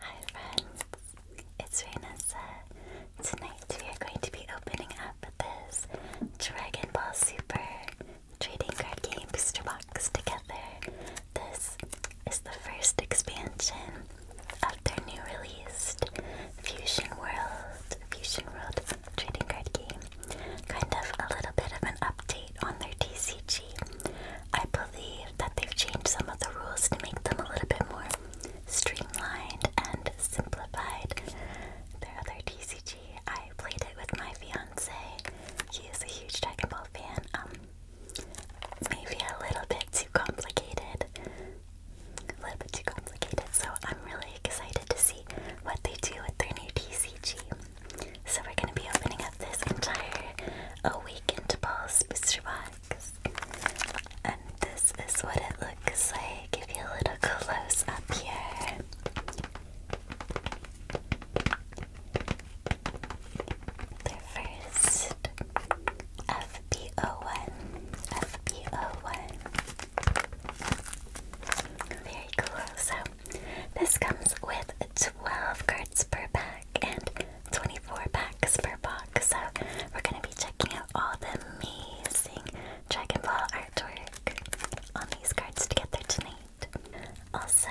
Hi friends, it's Raynessa. Tonight we are going to be opening up this Dragon Ball Super trading card game booster box together. This is the first expansion of their new released Fusion World, Fusion World trading card game. Kind of a little bit of an update on their TCG. I believe that they've changed some of the rules to make them a little bit more streamlined and simplified. Their other TCG, I played it with my fiance. He is a huge Dragon Ball fan. Um, maybe a little bit too complicated. A little bit too complicated. So I'm really excited to see what they do with their new TCG. So we're gonna be opening up this entire week into balls, Mr. Bot. And this is what it looks like. Give you a little close up here. The first FBO1. FBO1. Very cool. So, this comes with 12 cards per pack and 24 packs per box. So we're going to be checking out all the amazing Dragon Ball artwork on these cards together tonight. Also,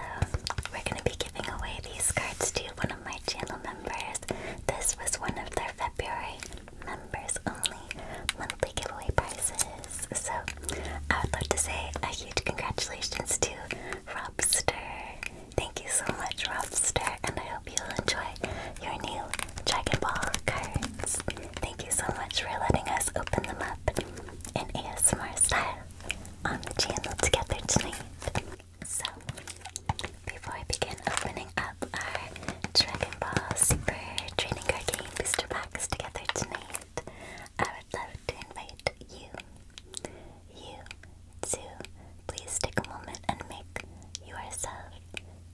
we're going to be giving away these cards to one of my channel members. This was one of their February members only monthly giveaway prizes. So I would love to say a huge congratulations to Robster Thank you so much, Robster, and I hope you'll enjoy your new Dragon Ball cards. Thank you so much for letting us open them up in ASMR style on the channel together tonight. So, before I begin opening up our Dragon Ball Super Training Card Game Booster Packs together tonight, I would love to invite you you too. Please take a moment and make yourself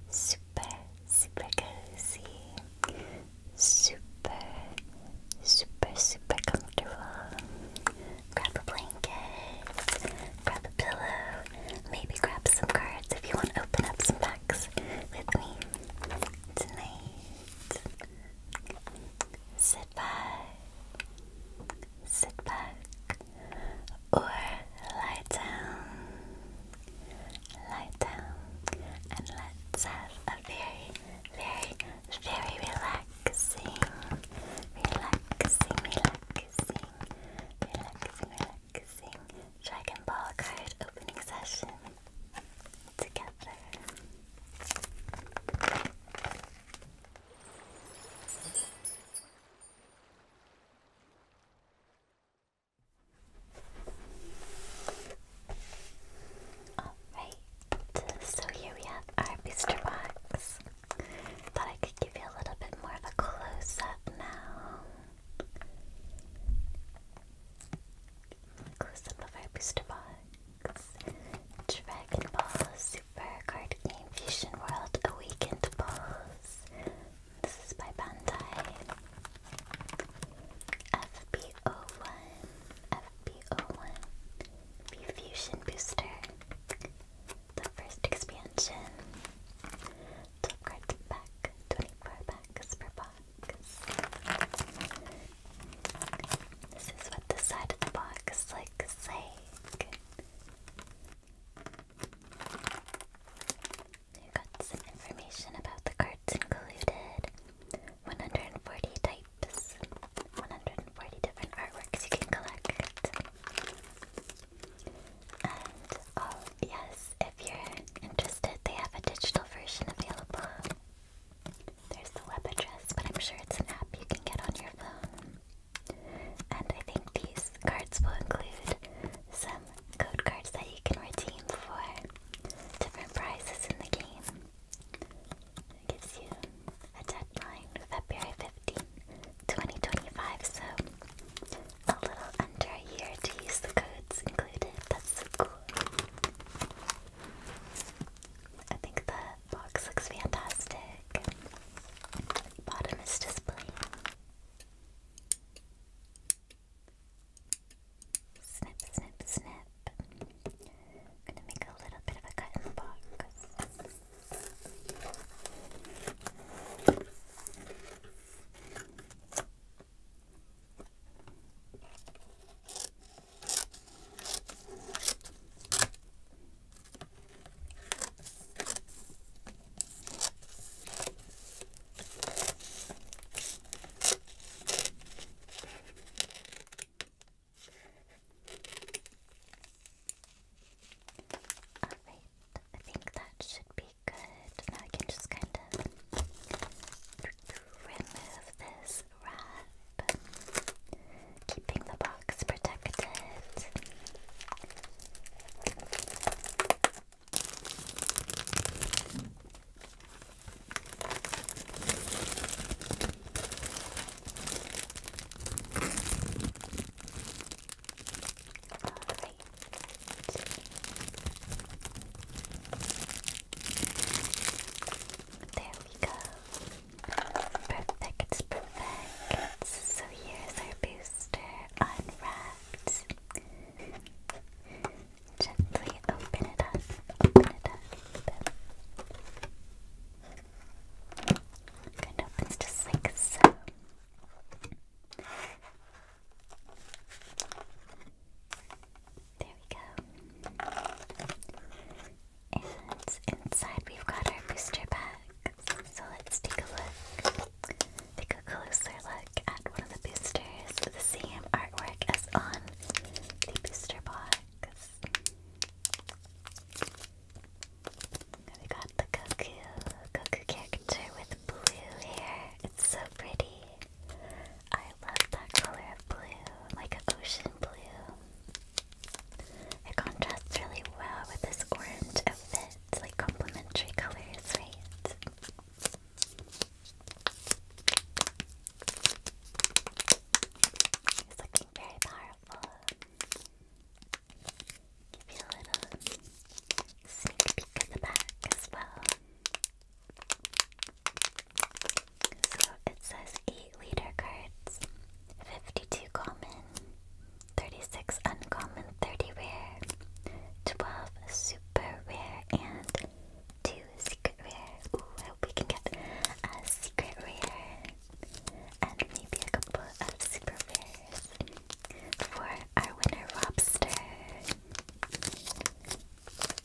super, super cozy, super, super, super comfortable. Grab a blanket, grab a pillow, maybe grab some cards if you want to open up some packs with me tonight. So, sit back, or lie down, lie down, and let's have a very, very, very relaxing, relaxing, relaxing, relaxing, relaxing Dragon Ball card opening session together. Alright, so here we have our booster box. Thought I could give you a little bit more of a close up now. Close up of our booster box. Dragon Ball for game Fusion World Awakened Balls. This is by Bandai. FBO1, FBO1, Fusion Booster. The first expansion. Top cards pack, 24 packs per box. This is what the side of the box looks like. You got some information about the cards included. 140 types, 140 different artworks you can collect. And oh yes, if you're interested, they have a digital version available. There's the web address, but I'm sure it's an app you can get on your phone. And I think these cards will include some code cards that you can redeem for different prizes in the game. It gives you a deadline, February 15, 2025, so a little under a year to use the codes included. That's so cool. I think the box looks fantastic. Bottom is just Snip, snip, snip. gonna make a little bit of a cut in the box. Alright, I think that should be good. Now I can just kind of remove this wrap keeping the box protected. There we go. Perfect, perfect. So here's our booster unwrapped. Gently open it up, open it up. Good, opens just like so. There we go. And inside we've got our booster pack. So let's take a look. Take a closer look at one of the boosters. The same artwork as on the booster box. We got the Goku, Goku character with blue hair. It's so pretty. I love that color of blue, like an ocean blue. It contrasts really well with this orange outfit. It's like complementary colors, right? It's looking very powerful. Give you a little sneak peek at the back as well. So it says 8 leader cards, 52 common, 36 uncommon, 30 rare, 12 super rare, and 2 secret rare. Ooh, we can get a secret rare and maybe a couple of super rares for our winner, Robster.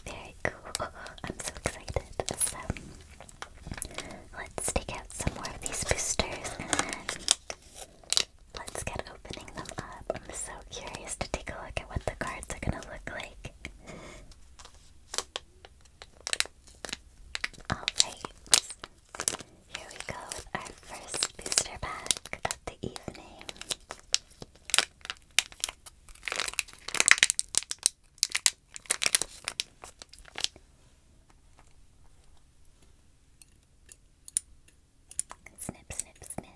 Very cool. I'm so excited. So, let's take out some more of these boosters Let's get opening them up. I'm so curious to take a look at what the cards are gonna look like. Alright, here we go with our first booster pack of the evening. Snip, snip, snip.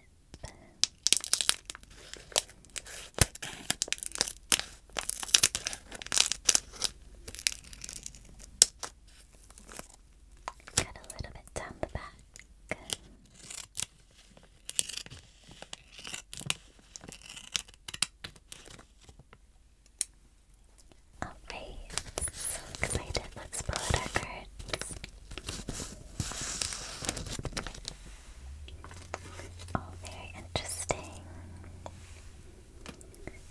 Cut a little bit down the back. Alright, so excited. Let's pull out our Oh, very interesting.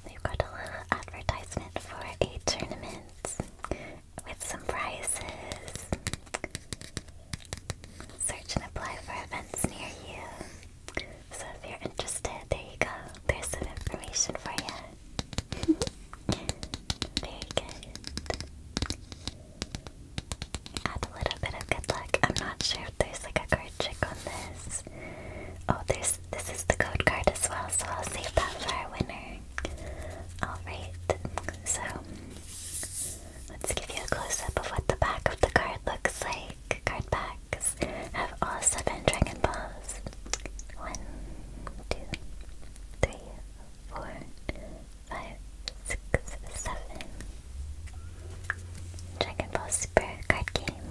We've got a little advertisement for a tournament with some prizes. Search and apply for events near you. So if you're interested, there you go. There's some information for you. Very good. Add a little bit of good luck. I'm not sure there's like a card trick on this. Oh, there's this is the code card as well, so I'll save that for our winner. Alright, so let's give you a close up of what the back of the card looks like. Card backs have all seven Dragon Balls. One, two, three, four, five, six, seven. Dragon Ball card game.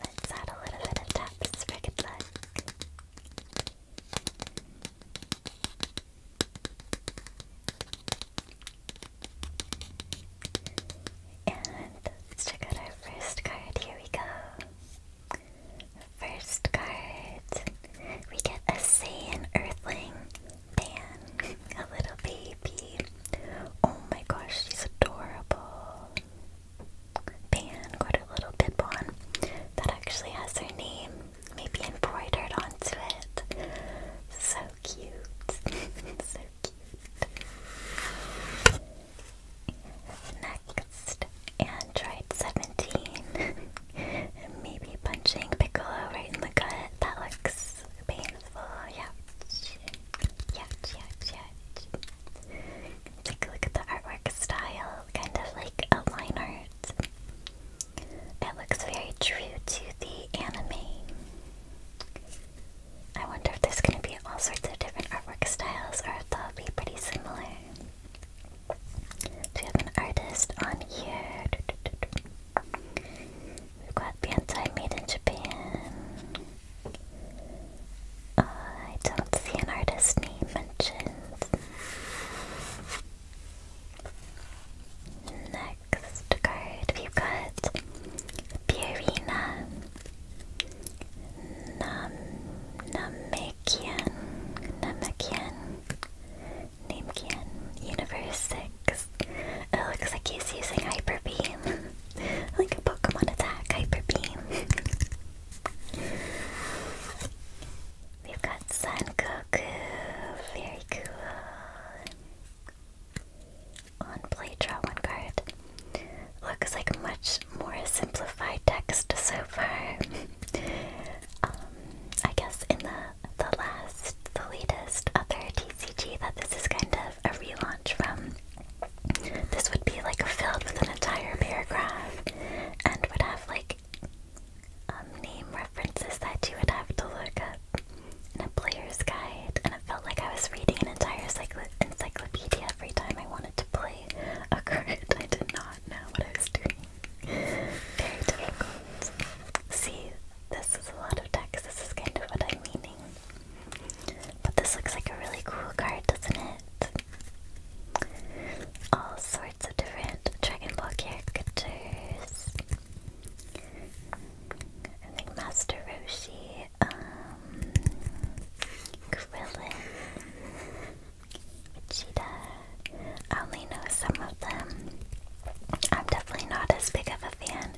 Let's add a little bit of taps for good let's check out our first card. Here we go. First card. We get a Saiyan Earthling Pan. A little baby. Oh my gosh, she's adorable. Pan got a little bib on. That actually has her name. Maybe embroidered onto it. So cute. so cute. Next, Android 17. and Maybe punching Piccolo right in the gut. That looks painful. Ouch. Ouch, ouch, ouch. Take a look at the artwork style. Kind of like a art. It looks very true to the anime. I wonder if there's gonna be all sorts of different artwork styles or if they'll be pretty similar. we have an artist on here? We've got Banzai made in Japan. Uh, I don't see an artist name mentioned. Next card, we've got Purina. Nam Namekian Namekian Namekian Universe 6. It looks like he's using Hyper Beam. like a Pokemon attack, Hyper Beam. We've got Sun Goku, very cool. On play, draw one card. Looks like much more simplified text so far. Um, I guess in the the last, the latest other TCG that this is kind of a relaunch from. This would be like filled with an entire paragraph and would have like um, name references that you would have to look up in a player's guide, and it felt like I was reading an entire encyclopedia every time I wanted to play a card, I did not know what I was doing. Very difficult. See, this is a lot of decks, this is kind of what I'm meaning. But this looks like a really cool card, doesn't it? All sorts of different Dragon Ball characters. I think Master Roshi um, Krillin, Vegeta. I only know some of them. I'm definitely not as big of a fan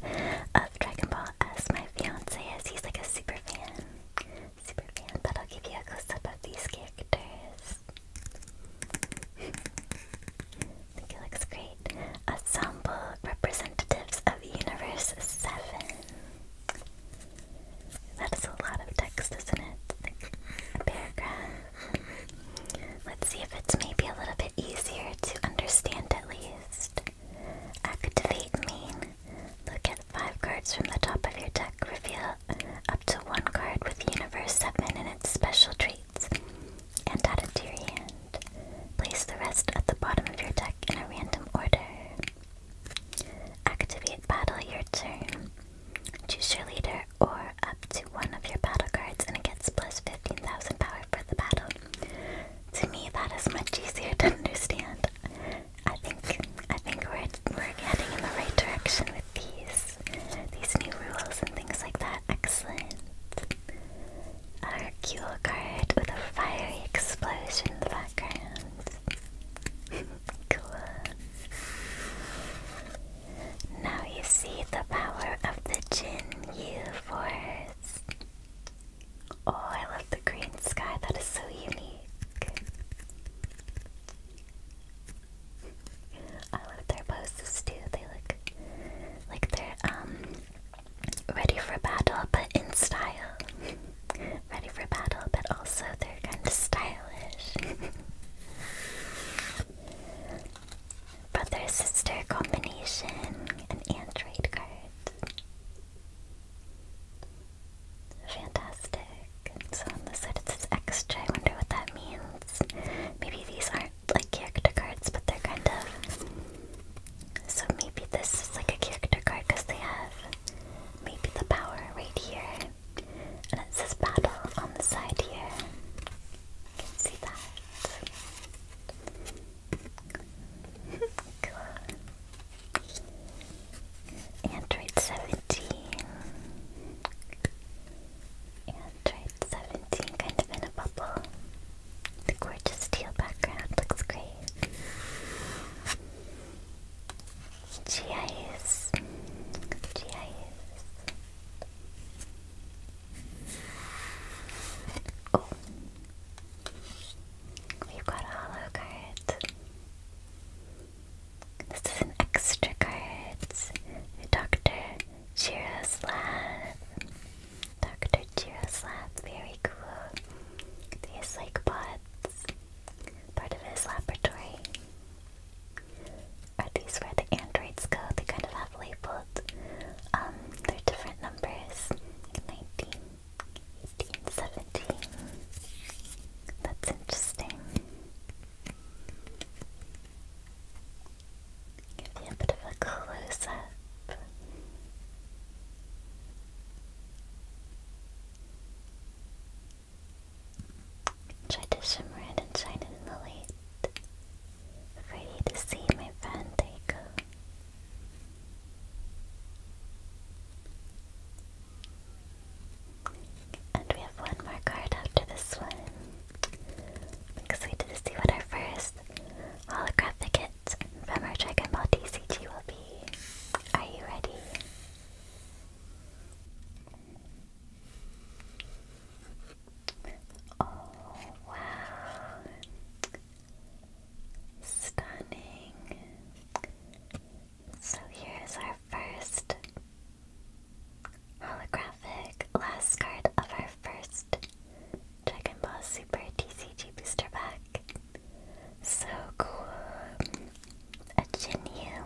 of Dragon Ball as my fiance is. He's like a super fan. Super fan, but I'll give you a close up of these characters. I think it looks great. Ensemble representatives of Universe 7. That is a lot of text, isn't it? paragraph. Let's see if it's maybe a little bit easier to understand at least. Activate main. Look at five cards from the top of your deck. Reveal up to one card with Universe 7 and its special traits and add it to your hand. Place the rest at the bottom of your deck in a random order. Activate battle your turn. Choose your leader or up to one of your battle cards and it gets plus 15,000 power for the battle. To me that is much easier to understand. I think I think we're we're heading in the right direction with these these new rules and things like that. Excellent. Our card with a fiery explosion in the background cool. Now you see the power of the Jin Yu Force. Oh, I love the green sky. That is so unique. I love their poses too. They look like they're um, ready for battle, but in style ready for battle, but also they're kind of stylish. Brother sister combination, an android card. Fantastic. So on the side it says XJ. I wonder what that means. Maybe these aren't like character cards, but they're kind of. So maybe this is like a character card because they have maybe the power right here. And it says battle on the side here. You can see that. Android 17. Android 17, kind of in a bubble. The gorgeous teal background looks great. GIS. GIS. Oh. We've got a hollow card. This is an extra card. Dr. Jiroslav. Dr. Jiroslav, very cool. These like bots part of his laboratory. Are these where the androids go? They kind of have labeled, um, their different numbers. 19, 18, 17. That's interesting. Give you a bit of a close up. Try to shimmer and shine in the light for to see, my friend. take. you And we have one more card after this one. I'm excited to see what our first holographic hit from our Dragon Ball DCG will be. Are you ready? Oh, wow. Stunning. So here's our first holographic last card of our first Dragon Ball Super TCG booster pack. So cool. A Jinyu.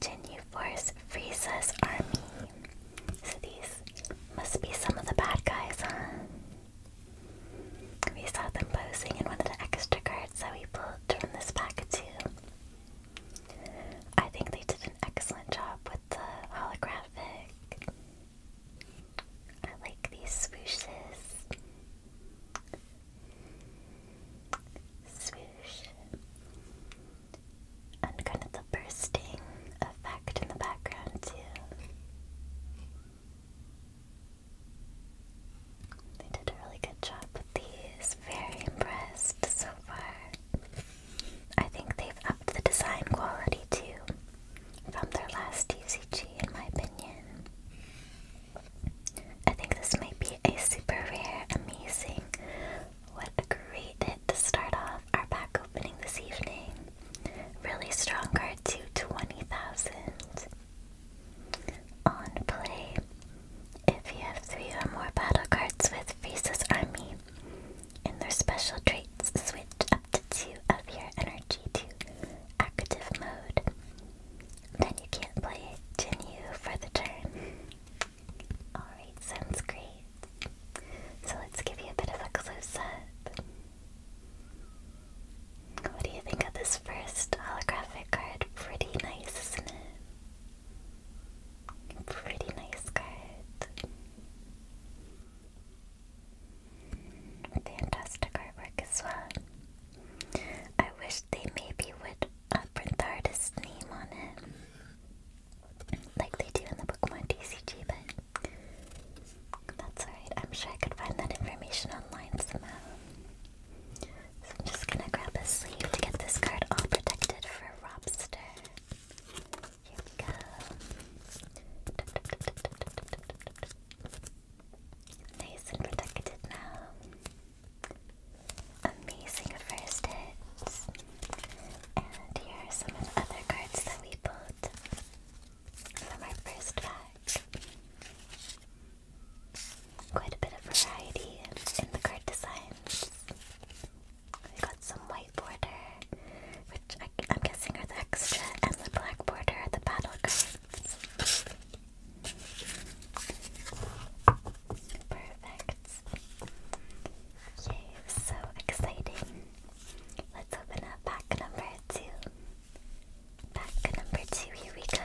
Jinyu Force Frieza's army. So these must be some of the bad guys, huh? We saw them posing in one of the extra cards that we pulled from this pack too. I think they did an excellent job with the holographic. I like these swooshes swoosh, and kind of the bursting effect in the background, too. They did a really good job with these. Very impressed so far. I think they've upped the design quality too from their last UCG, in my opinion. I think this might be a super rare, amazing. What a great hit to start off our pack opening this evening. Really strong card to 20,000. On play. If you have three or more battle cards with Frieza's army and their special traits, switch up to two of your energy to active mode. Then you can't play it, continue for the turn. Alright, sounds great. So let's give you a bit of a close up. What do you think of this first holographic card? Pretty nice, isn't it? Pretty nice card. Fantastic artwork as well. I wish they maybe would uh, print the artist's name on it, like they do in the Pokemon TCG, but that's alright. I'm sure I could find that information online somehow. So I'm just gonna grab a sleeve to get this card all protected for Robster. Here we go. Nice and protected now. Amazing first hits. And here are some of the other cards that we pulled from our first pack. Quite a bit of variety in the card designs. We got some white border, which I, am guessing are the extra, and the black border are the battle cards. Perfect. Yay, so exciting. Let's open up pack number two. Pack number two, here we go.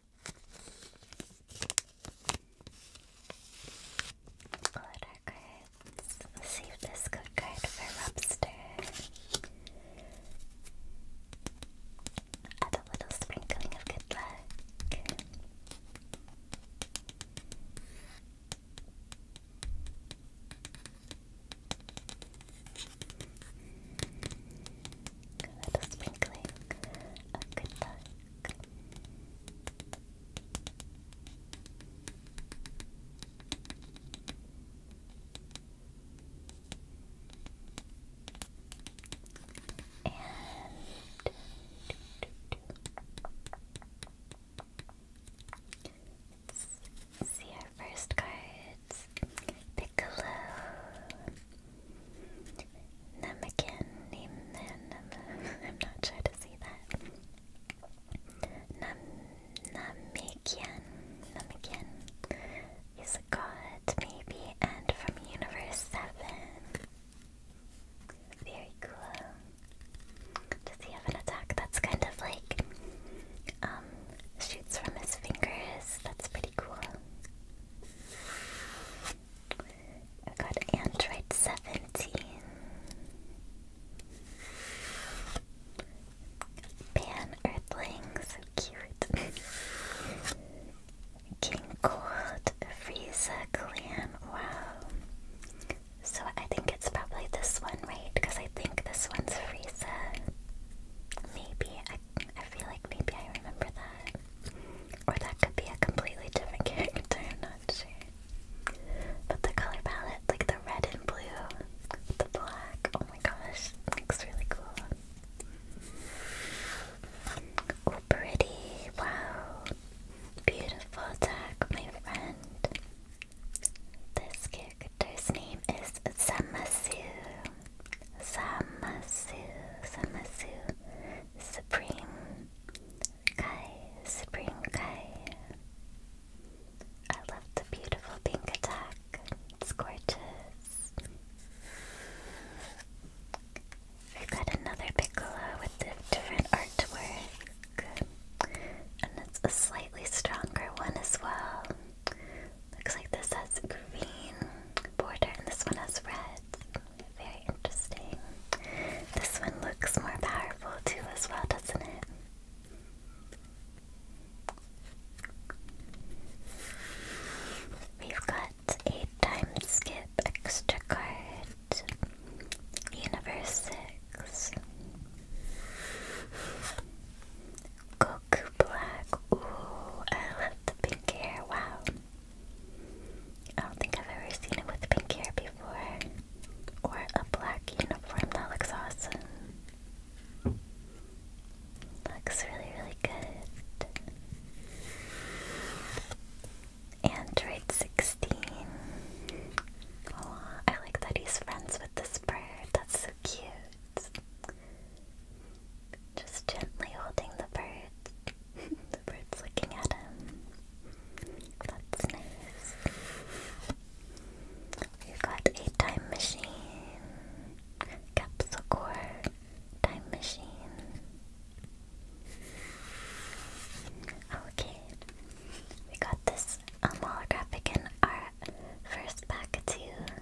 Letter cards. Let's save this good card for Robster. Add a little sprinkling of good luck. A little sprinkling of good luck. And see our first cards. Piccolo, Namakin, I'm not sure to see that. Nam Namekian, Namekian is a god, maybe, and from Universe 7. Very cool. Does he have an attack that's kind of like, um, shoots from his fingers? That's pretty cool. I got Android 17. Pan Earthling, cute. King Cold, Frieza Clan, wow. So I think it's probably this one, right? Because I think this one's Frieza. Maybe, I, I feel like maybe I remember that. Or that could be a completely different character, I'm not sure. But the color palette, like the red and blue, the black, oh my gosh, looks really cool. Oh, pretty, wow. Beautiful tag, my friend. This character's name is Samasu. Samasu, Samasu. Supreme Kai, Supreme Kai. I love the beautiful pink attack. It's gorgeous. we got another Piccolo with the different artwork. And it's a slightly stronger one as well. Looks like this has green border and this one has red. Very interesting. This one looks more powerful too, as well, doesn't it? We've got a time skip extra card, Universe 6, Goku Black. Ooh, I love the pink hair, wow. I don't think I've ever seen it with pink hair before. Or a black uniform that looks awesome. Looks really, really good. Android 16. Oh, I like that he's friends with this bird. That's so cute. Just gently holding the bird. the bird's looking at him. That's nice. We've got a time machine, capsule core, time machine. Okay, we got this holographic in our first pack too.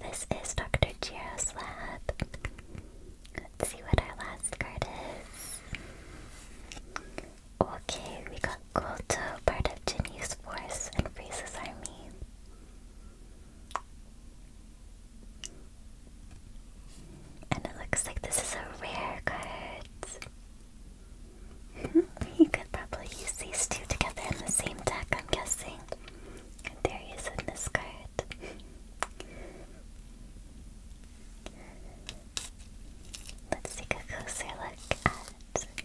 This is Dr. Jiro's lab. Let's see what our last card is. Okay, we got Goto, part of Jenny's force, and Frieza's army. And it looks like this is a rare card. you hmm, could probably use these two together in the same deck, I'm guessing. And there is in this card. Let's take a closer look at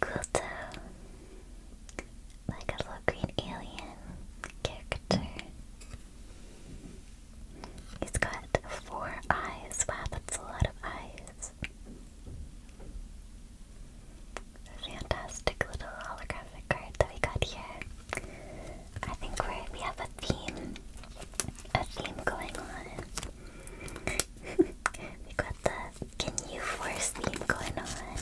Quilto, like a little green alien character. He's got four eyes. Wow, that's a lot of eyes. Fantastic little holographic card that we got here. I think we we have a theme, a theme going on. we got the Can You theme going on.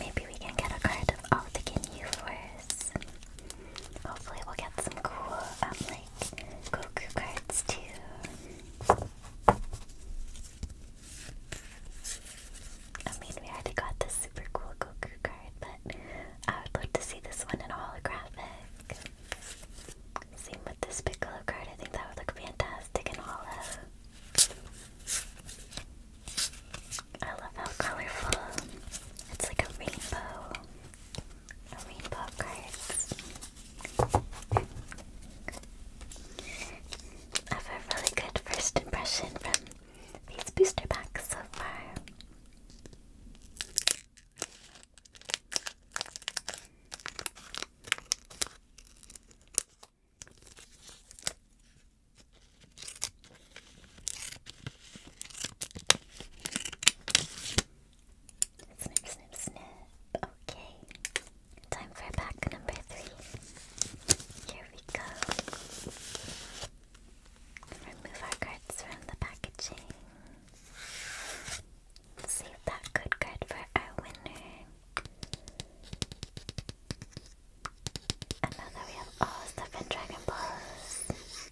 Maybe we can get a card of all oh, the Can You Hopefully we'll get some cool, um, like, Goku cards too. I mean, we already got this super cool Goku card, but I would love to see this one in holographic. Same with this Piccolo card, I think that would look fantastic in holo. I love how colorful. It's like a rainbow. A rainbow of I have a really good first impression from these booster packs so far. Snip, snip, snip. Okay. Time for pack number three. Here we go. Remove our cards from the packaging. Save that good card for our winner. And now that we have all seven Dragon Balls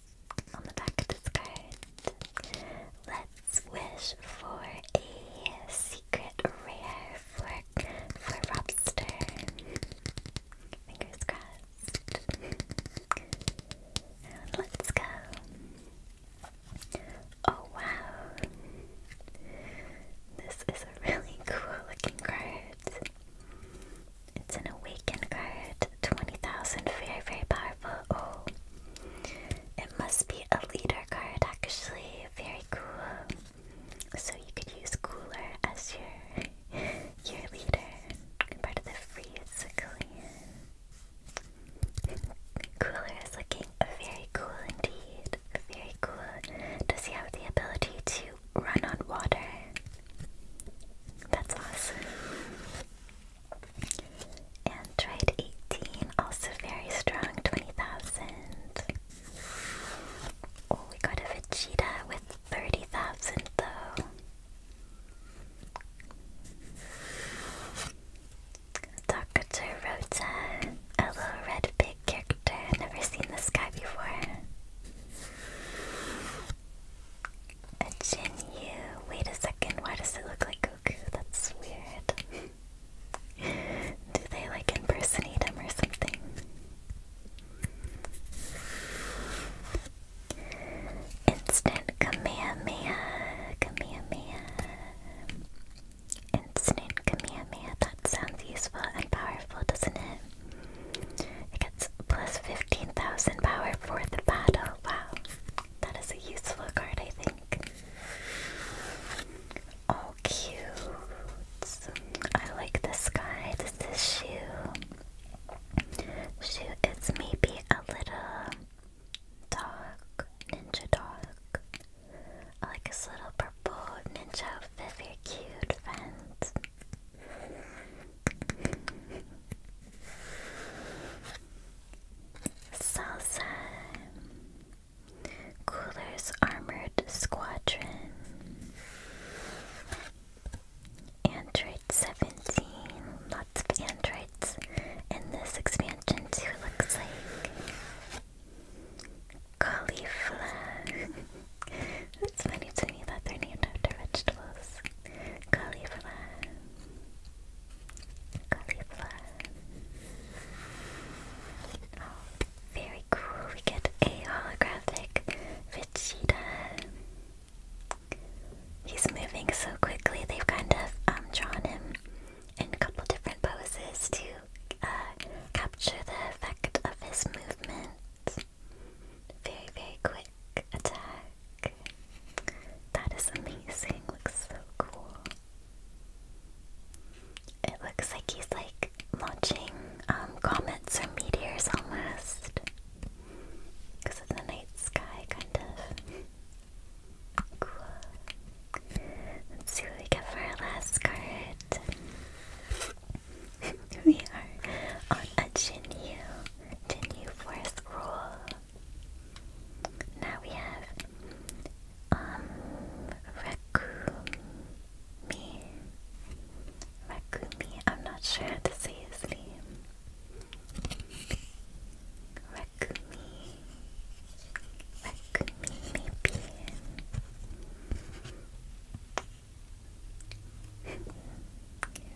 on the back of this card, let's wish for a secret rare for for Robster. Fingers crossed. let's go. Oh wow. This is a really cool looking card. It's an awakened card. 20,000. Very, very powerful. Oh. It must be a leader card, actually. Very cool. So you could use Cooler as your your leader, part of the Freeze Cooler is looking very cool indeed. Very cool. Does he have the ability to run on water? That's awesome. And tried 18, also very strong, 20,000. Oh, we got a Vegeta with 30,000 though. Dr. Rota, a little red pig character. Never seen this guy before. A Jinyu. Wait a second, why does it look like Goku? That's weird. Do they like impersonate him or something? Instant Kamehameha, Kamehameha. Instant Kamehameha, that sounds useful and powerful, doesn't it? It gets plus 15,000 power for the battle. Wow, that is a useful card, I think. Oh, cute. I like this guy. This is Shu. Shu maybe a little dog, ninja dog. I like his little purple ninja Very cute, friends. Salsa. Cooler's armor Squadron. Android 17. Lots of androids in this expansion too, looks like. Cauliflower. it's funny to me that they're named after vegetables. Cauliflower. Cauliflower. Oh. Very cool. We get a holographic Vegeta. He's moving so quickly. They've kind of um, drawn him in a couple different poses to uh, capture the effect of his movement. Very, very quick attack. That is amazing. Looks so cool. It looks like he's like like watching um, comets or meteors almost. Because of the night sky, kind of. Cool. Let's see what we get for our last card. we are on a Jinyu, Jinyu Forest Rule. Now we have um Raccoon Makumi. Makumi. I'm not sure how to say his name. Makumi. maybe.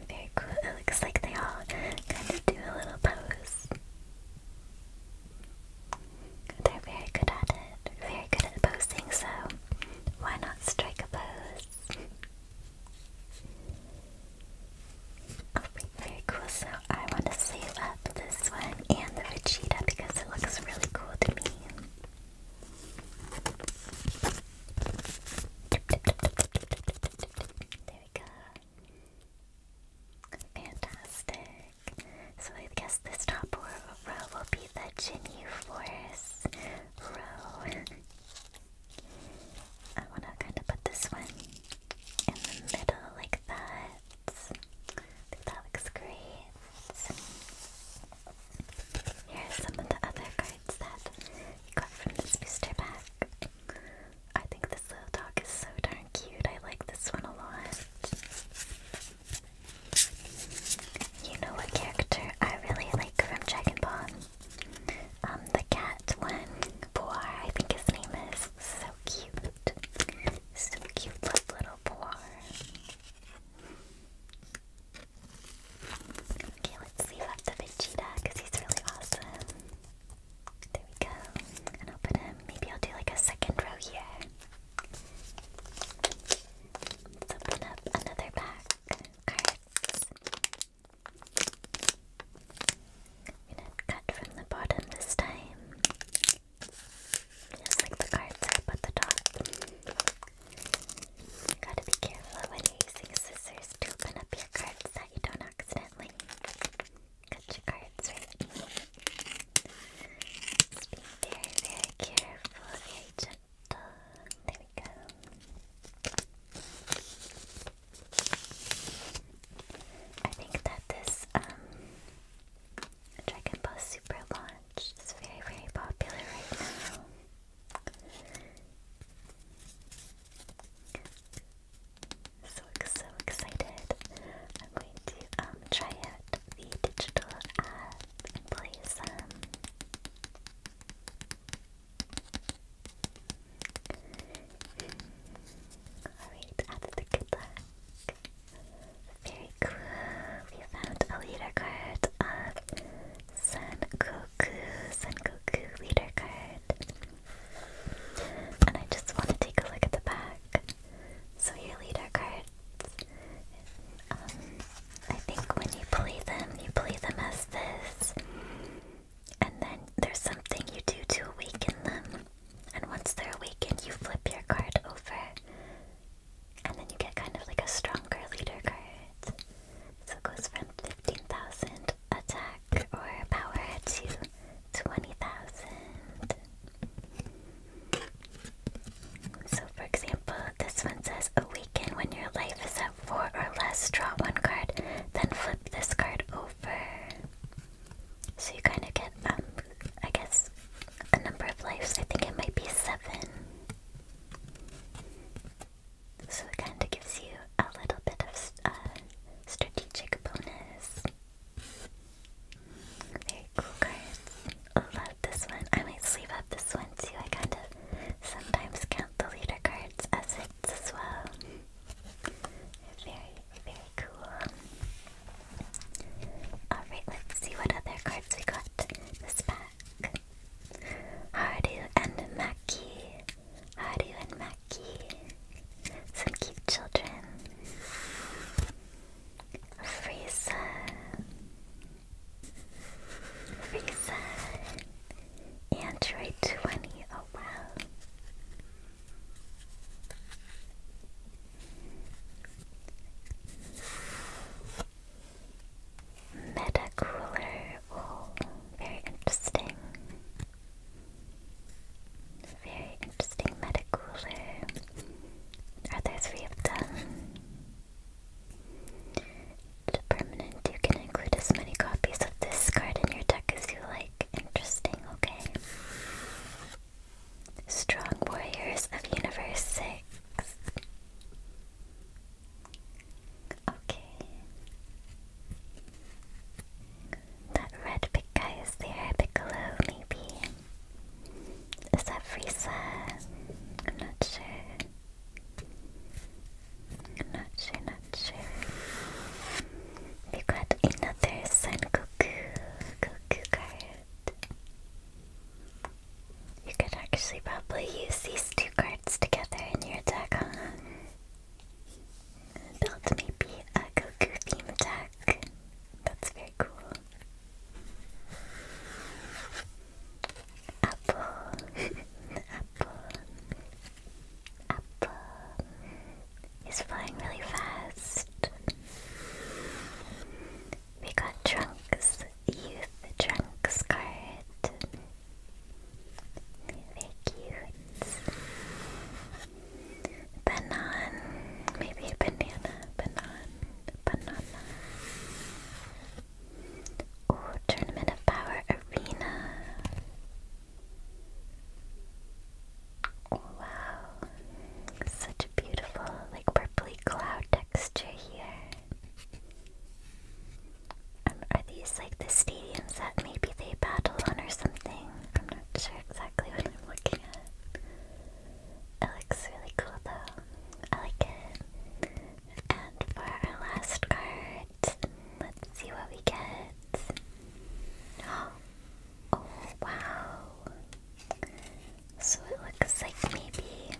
Very cool. It looks like they all kind of do a little pose. They're very good at it. Very good at posing, so why not strike a pose? Oh, very cool. So I want to save up this one and the Vegeta because it looks really cool to me. There we go. Fantastic. So I guess this top row will be the Ginyu Forest row. I want to kind of put this one in the middle like that. I think that looks great. Here are some of the other cards that we got from this booster pack. I think this little dog is so darn cute. I like this one a lot. You know what character I really like from Dragon Ball? Um, the cat one. Boar, I think his name is. So cute. So cute, little Boar. Okay, let's leave up the Vegeta because he's really awesome. There we go. And I'll put him, maybe I'll do like a second row here. Let's open up another pack cards. gonna cut from the bottom this time. Just the cards are at the top. You gotta be careful when using scissors to open up your cards that you don't accidentally cut your cards right. be very, very careful, very gentle ta. There we go. I think that this um, Dragon Ball Super launch is very very popular right now. So so excited! I'm going to um, try out the digital app and play some. Alright, that's the good Very cool. We found a leader card of Sun Goku. leader card. And I just want to take a look at the back. So your leader card. Um, I think when you play them, you play them as this, and then there's something you do to awaken them. And once they're awakened, you flip your card over, and then you get kind of like a stronger leader card. So it goes from 15,000 attack or power to 20,000. So, for example, this one says awaken when your life is at four or less. Draw one card, then flip this card over. So you kind of get, um, I guess, a number of lives. I think it might be seven. So it kind of gives you a little bit of uh, strategic bonus. Very cool cards. Love this one. I might sleeve up this one too. I kind of Sometimes count the leader cards as hits as well. Very, very cool. Alright, let's see what other cards we got this pack. Haru and Maki. Haru and Maki. Some cute children. Frieza. Rickson. Android 20, oh wow. oh, very interesting. Very interesting meta Are there three of them? permanent, you can include as many copies of this card in your deck as you like. Interesting, okay. Strong Warriors of Universe 6. Okay. That red big is there, Piccolo, maybe. Is that Frieza? I'm not sure. Nachi Nachi. We got another Sun Goku Goku card. You could actually probably use these two cards together in your deck, huh? Build maybe a Goku theme deck. That's very cool apple, apple, apple. He's flying really fast. We got Trunks, Youth Trunks card. Very cute. Banan, maybe a banana, banana. Oh, Tournament of Power Arena. Wow. Such beautiful, like, purpley cloud texture here. Um, are these like the stadiums that maybe they battle on or something? I'm not sure exactly what I'm looking at. It looks really cool though. I like it. And for our last card, let's see what we get. Oh, wow. So it looks like maybe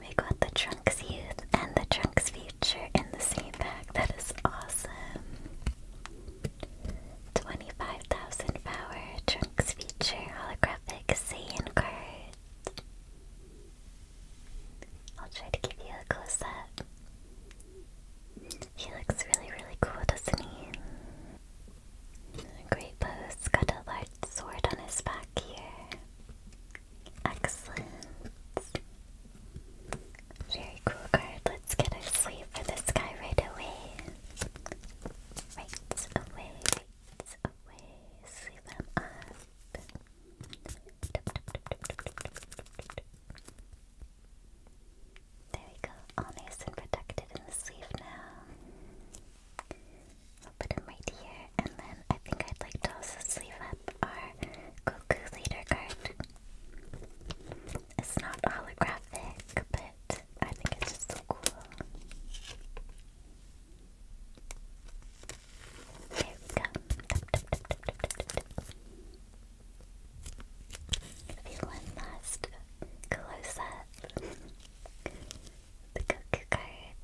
we got the Trunks Youth and the Trunks Future in the same bag. That is awesome. 25,000 power Trunks Future holographic Saiyan card. I'll try to give you a close up. He looks really, really cool, doesn't he? Great pose. Got a large sword on his back here. Excellent. Very cool card. Let's get a sleeve for this guy right away. Right away, right away. Sleeve him up. There we go, all nice and protected in the sleeve now. I'll put him right here, and then I think I'd like to also sleeve up our Goku leader card. It's not holographic, but I think it's just so cool. There we go. If one last close up, the cuckoo cards.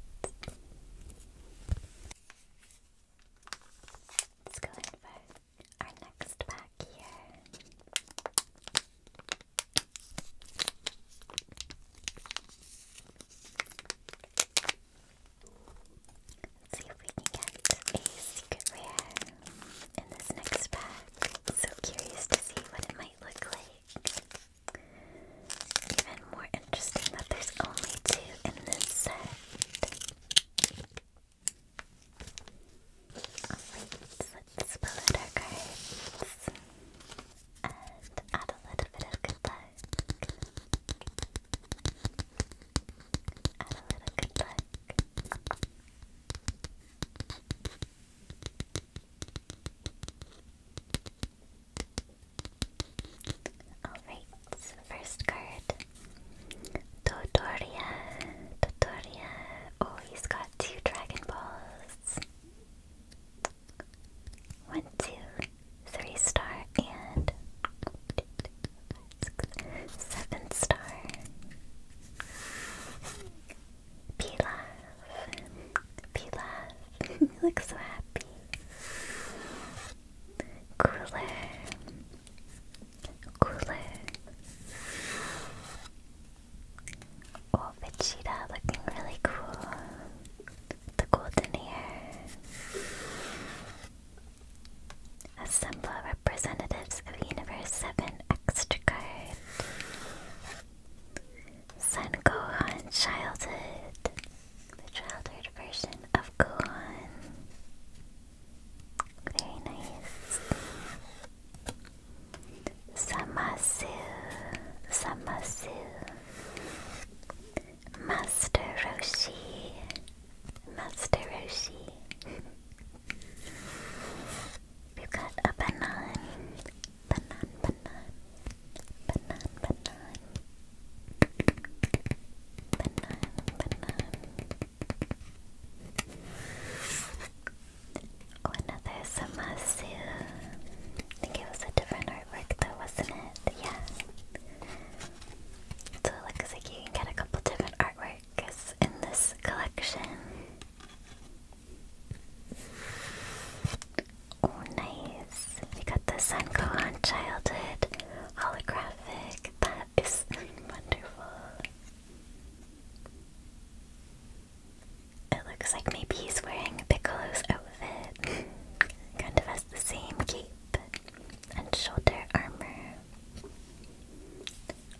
Let's go in for our next pack here. Let's see if we can get a secret rare in this next pack. So curious to see what it might look like. Even more interesting that there's only two in this set. Alright, let's pull our cards and add a little bit of good Alright, first card. Dodoria. Dodoria. Oh, he's got two Dragon Balls. One, two three star and seven star. Pilaf, Pilaf, you so happy. Cooler, cooler. Oh, Vegeta looking really cool the golden hair. Assemble representatives of Universe 7 extra card. Son Gohan Childhood. The childhood version of Gohan. Very nice. Samasu. Samasu. Master Roshi. Master Roshi. we got a banan. Banan, banan. Banan, banan. Banan, another Samasu. I think it was a different artwork though, wasn't it? Yeah. So it looks like you can get a couple different artworks in this collection. Oh, nice. We got the Sun Gohan Childhood holographic. That is wonderful. It looks like maybe he's wearing Piccolo's outfit. kind of has the same cape and shoulder armor.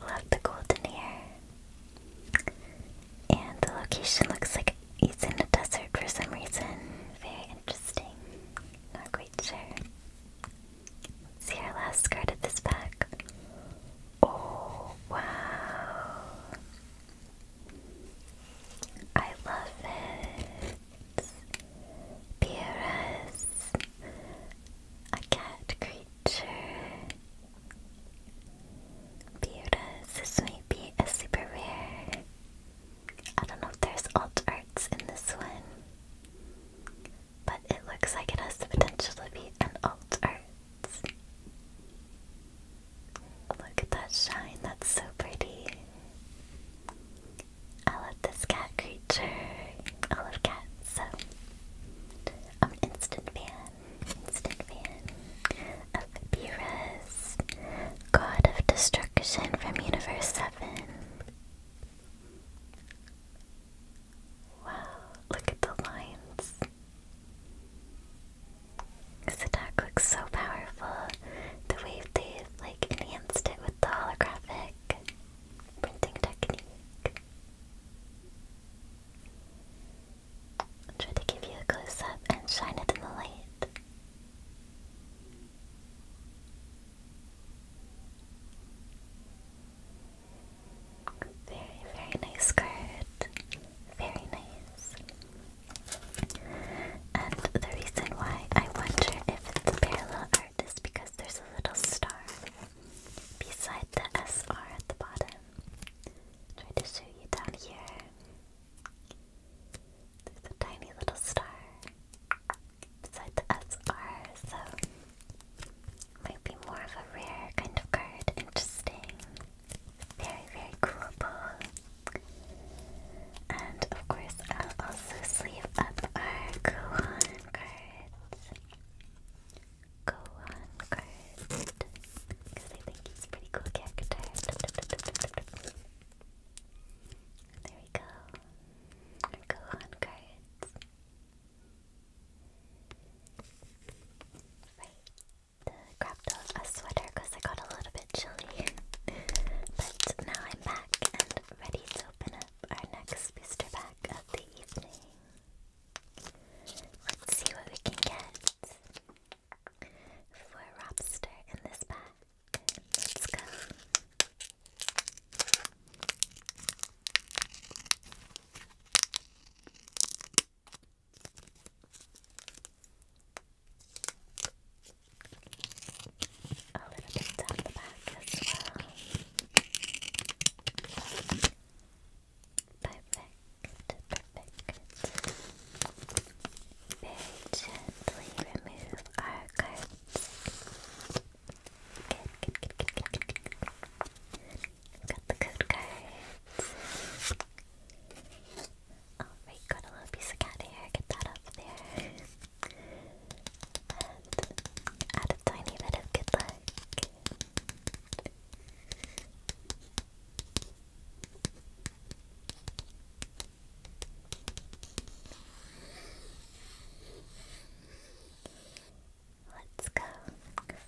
Love the golden hair. And the location looks like it's in a desert for some reason. Very interesting. Not quite sure. see our last card of this pack. Oh, wow. I love it. Beerus, a cat creature. Beerus, this might be a super rare. I don't know if there's alt arts in this one, but it looks like it has the potential to be an alt art. Look at that shine, that's so pretty. I love this cat creature. I love cats, so I'm an instant fan. Instant fan of Beerus, God of Destruction from Universe 7. Wow, look at the lines. This attack looks so powerful the way they like enhanced it with the holographic printing technique. i to give you a close up and shine it in the light. Very, very nice skirt. Very nice. And the reason why I wonder if it's a parallel art is because there's a little star beside the S R at the bottom. Try to show you down here. There's a tiny little star beside the SR, so might be more of a rare kind of card. Interesting. Very, very cool and of course, I'll also sleep up our Gohan cards. Gohan card. I think he's pretty cool character. There we go. Gohan cards. Right. grabbed a sweater I got a little bit chilly. but now I'm back and ready to open up our next booster pack of the evening. Let's see what we can get for Robster in this pack. Let's go a little bit down the back as well. Perfect, perfect. Very gently remove our cards. Good, good, good, good, good, got the code cards. Alright, got a little piece of cat hair, get that up there. And add a tiny bit of good luck. Let's go.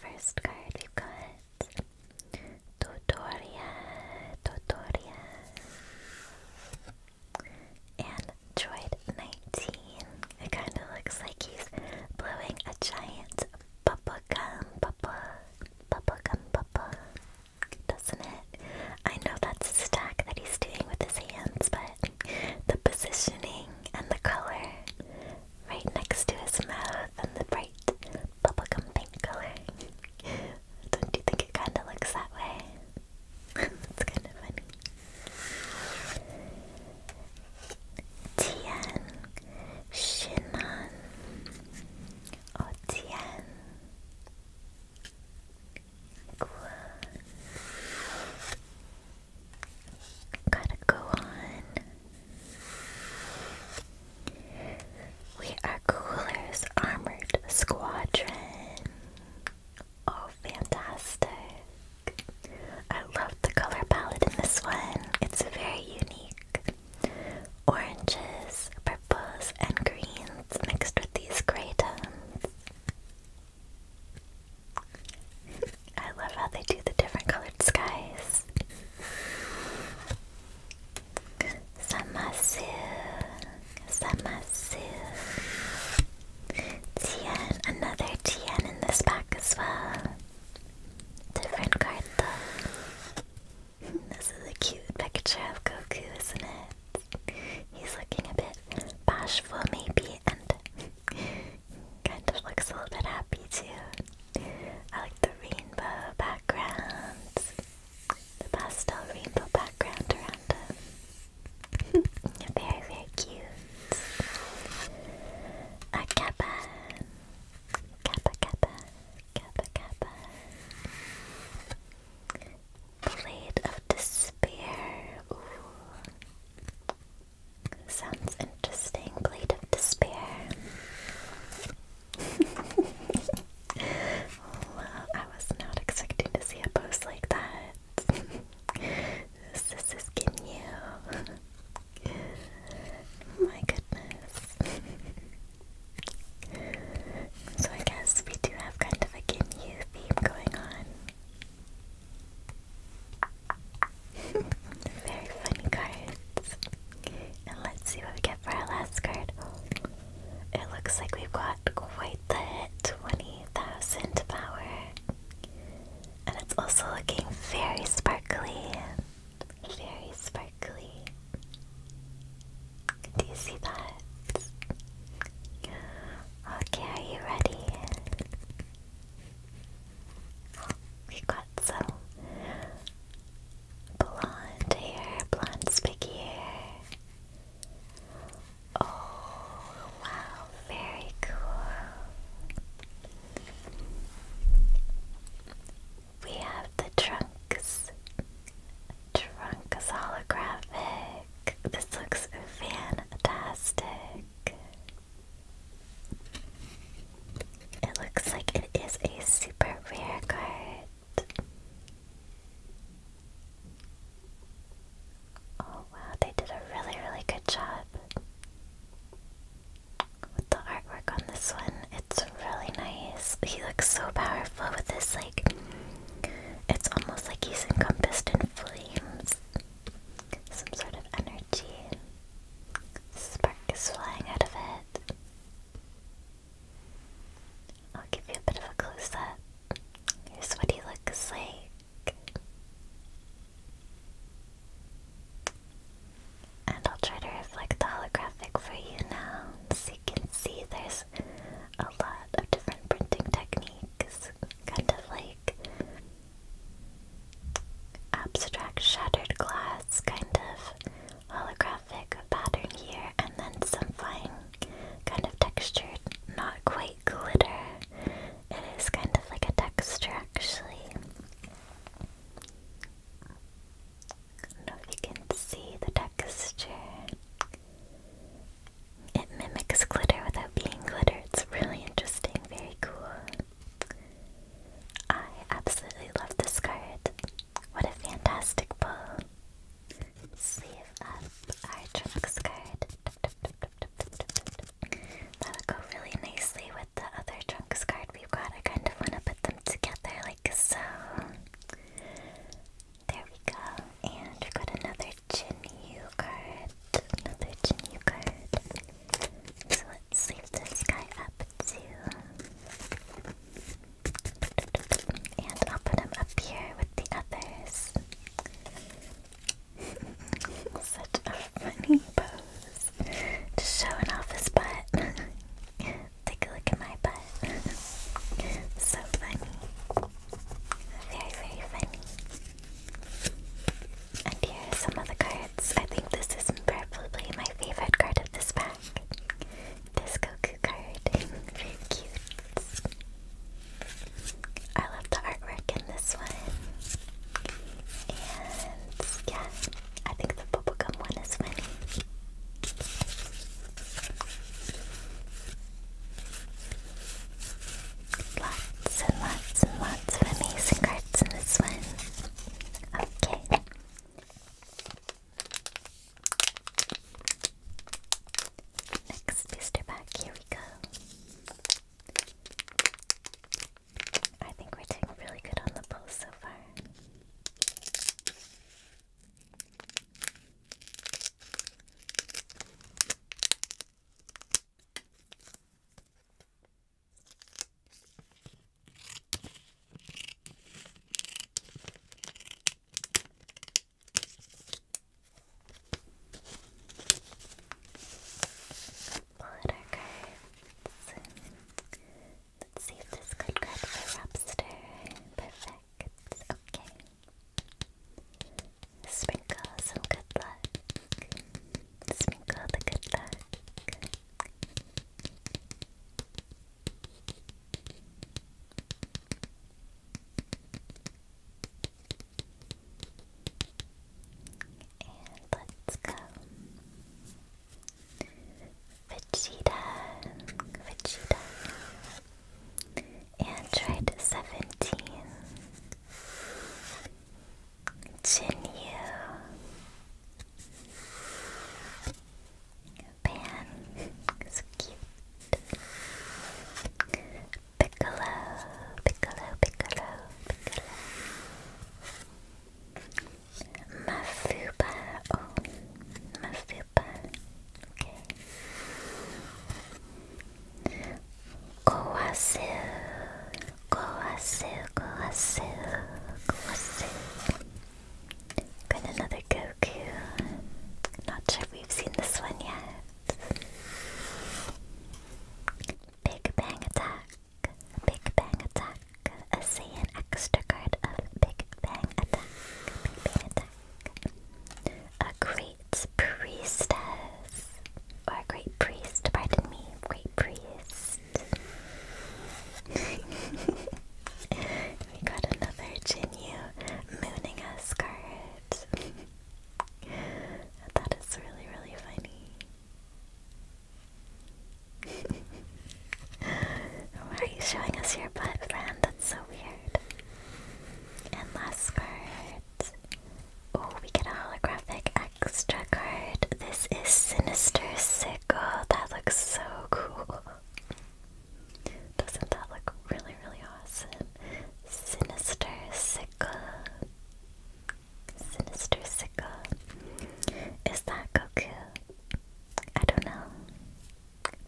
First card we've got Totoria, Totoria. And droid 19, it kind of looks like he's blowing a giant bubble gum bubble, bubble gum bubble, doesn't it? I know that's a stack that he's doing with his hands, but the positioning and the color right next to his mouth and the bright bubblegum pink color. Don't you think it kind of looks that way? it's kind of funny. Tian Shinan or Tian Gua. Gotta go on. We are Cooler's Armored Squadron. Oh, fantastic. I love the color palette in this one. It's very unique. Oranges, purples, and greens mixed with these gray tones. I love how they do the different colored skies. Samasu. Zamasu. Tien, another Tien in this pack as well. Different card though. this is a cute picture of Goku, isn't it? He's looking a bit bashful maybe and kind of looks a little bit happy too. I like the rainbow background. The pastel rainbow background around him. very, very cute. A kappa. Kappa, kappa. Kappa, kappa. Blade of Despair. Ooh. Sounds interesting. Blade of Despair. well, I was not expecting to see a post like that. This is getting you. My goodness. so I guess we do have kind of a Ginyu theme going on. Very funny cards. And let's see what we get for our last card. It looks like we've got quite right the 20,000 power. And it's also looking very sparkly. Very sparkly. Do you see that? Okay, are you ready? We got some blonde hair, blonde spiky hair. Oh, wow, very cool. We have the trunks. Trunk is This looks fantastic. It looks like it is a super rare card. Oh wow, they did a really, really good job with the artwork on this one. It's really nice. He looks so powerful with this, like, it's almost like he's encompassed in flames. Some sort of energy. Spark is flying out of it. I'll give you a bit of a close up. Here's what he looks like. And I'll try to reflect the holographic for you now. So you can see there's a lot of different printing techniques. Kind of like abstract shattered glass, kind of holographic pattern here, and then some fine kind of textured, not quite white glitter. It is kind of like a texture, actually. I don't know if you can see the texture. It mimics glitter without being glitter. It's really interesting, very cool. I absolutely love this card. What a fantastic pull. Sleeve up our Trunks card. That'll go really nicely with the other Trunks card we've got. I kind of want to put them together like so. There we go. And we've got another Jinyu card. Another Jinyu card. So let's sleeve this guy up too. And I'll put him up here with the others. Such a funny pose to show off his butt. Take a look at my butt. so funny. Very, very funny. And here are some of the cards. I think this is probably my favorite card of this pack. This Goku card. very cute. I love the artwork in this one. And yeah, I think the bubblegum one is funny. Lots and lots and lots of amazing cards in this one. Okay. Next booster pack, here we go. I think we're doing really good on the pulse so far. Letter card. let's see this could grab the lobster. Perfect. Okay. Sprinkle some good luck. Sprinkle the good luck. And let's go. Vegeta, Vegeta, Android 17, Jinyu, Pan, so cute, Piccolo, Piccolo, Piccolo, Piccolo. Masuba, oh, Masuba, okay. Kowasu, Kowasu, Got another Goku. Not sure we've seen this one yet. Big Bang Attack, Big Bang Attack. A say an extra card of Big Bang Attack, Big Bang Attack. A great priestess, or a great priest. Pardon me, great priest. we got another Jinyu mooning us card. that is really, really funny. Why are you showing us your butt, friend? That's so weird. And last card. Oh, we get a holographic extra card. This is Sinister Sickle. That looks so cool. Doesn't that look really, really awesome? Sinister Sickle. Sinister Sickle. Is that Goku? I don't know.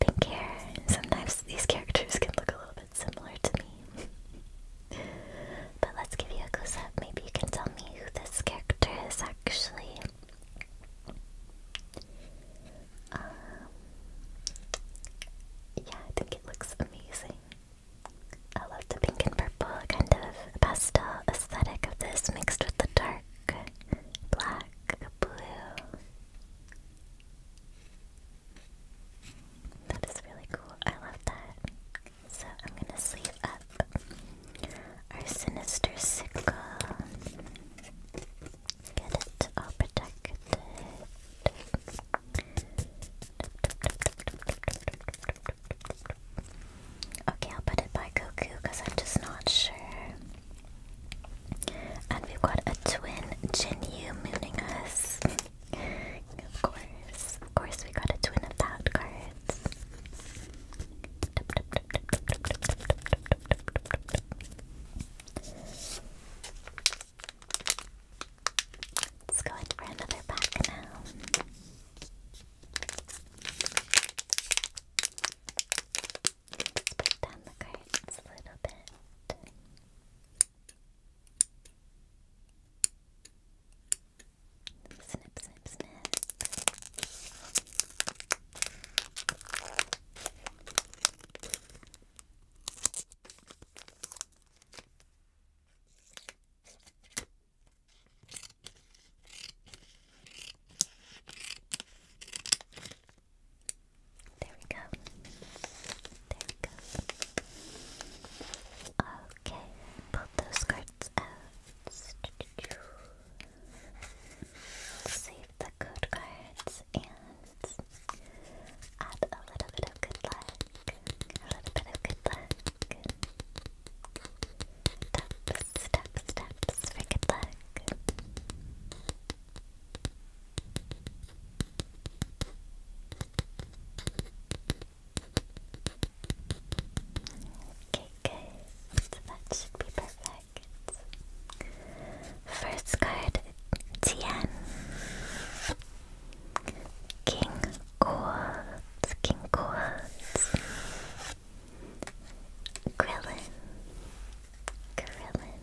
Pink hair. Sometimes these characters can look a little bit similar to me. but let's give you a close up. Maybe you can tell me who this character is actually. Um, yeah, I think it looks amazing. I love the pink and purple kind of pastel aesthetic of this mixed with the dark black blue. That is really cool. I love that. So I'm gonna sleeve up our sinister sickle. Get it all protected. Okay, I'll put it by Goku because I'm just not sure. And we've got a twin Jinyu mooning us. of course. Of course we got a twin of that cards. Let's go in for another pack now. Let's put down the cards a little bit. Snip, snip, snip. There we go. There we go. Okay, pull those cards out. Save the code cards and add a little bit of good luck. A little bit of good luck. Steps, steps, steps for good luck. Okay, good. That should be perfect. First card, Tien. King Quartz, King Quartz, Krillin, Krillin.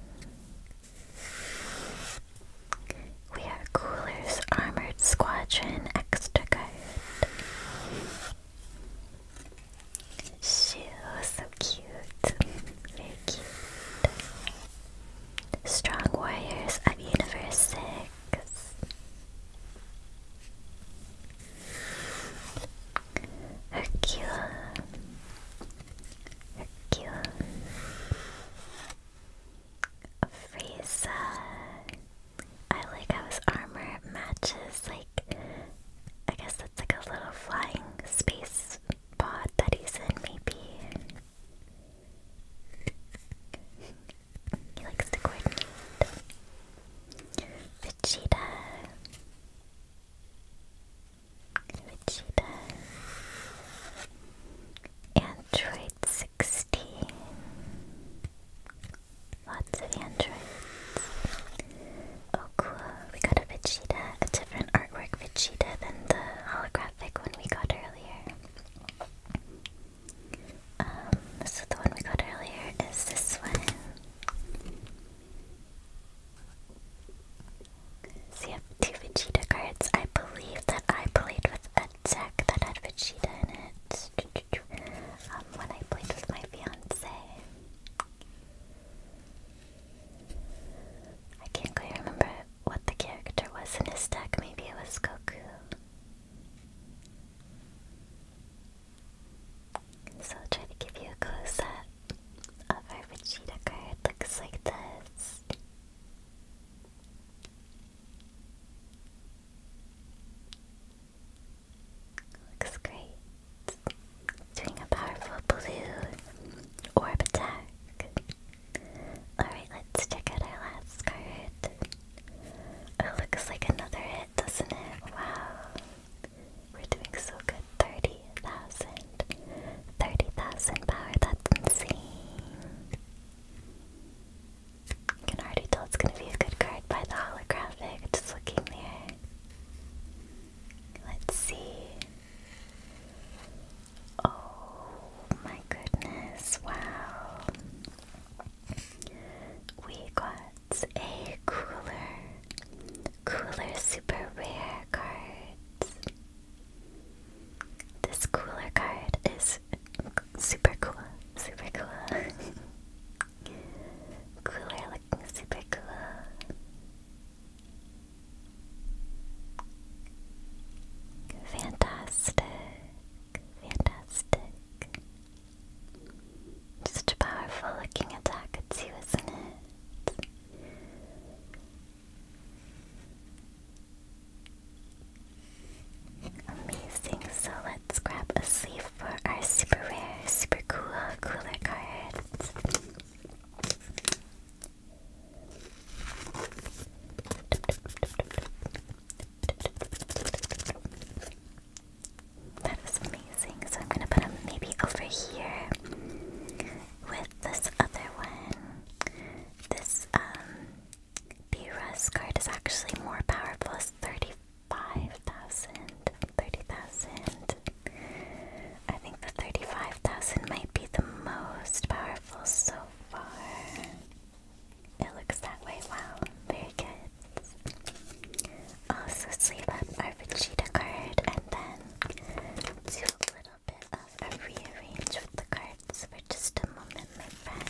We are Cooler's Armored Squadron Extra Guard. so cute. Very cute. Strong Warriors of Universe legs. Hercule, Hercule, Frieza. I like how his armor matches, like, I guess that's like a little flying space pod that he's in, maybe he likes to coordinate. Vegeta. Vegeta. Android 16. Lots of androids. Oh cool, we got a Vegeta, a different artwork Vegeta than the holographic one we got earlier. Um, so the one we got earlier is this one. So have two Vegeta cards. I believe that I played with a deck that had Vegeta in it. Um, when I played with my fiance. I can't quite remember what the character was in his deck. Maybe it was Goku. So I'll try to give you a close up of our Vegeta card. Looks like this. Looks great. Doing a powerful blue orb attack. Alright, let's check out our last card. It oh, looks like another hit, doesn't it? Wow. We're doing so good. 30,000. power, that's insane. can already tell it's gonna be a good card by the holographic, just looking there. Let's see. Oh my goodness, wow. We got a cooler, cooler super rare card. This cooler card is super cool, super cool. cooler looking super cool. Fantastic. Fantastic. Such a powerful looking attack too, isn't it? Amazing, so let's grab a sleeve for our super rare, super cool cooler cards. That is amazing. So I'm gonna put them maybe over here with this other one. This um B-Rust card is actually more powerful. It's 35,000. 30,000. I think the 35,000 might be the most powerful so far. It looks that way. Wow, very good. Also sleeve up our Vegeta card and then do a little bit of a rearrange with the cards for just a moment, my friend.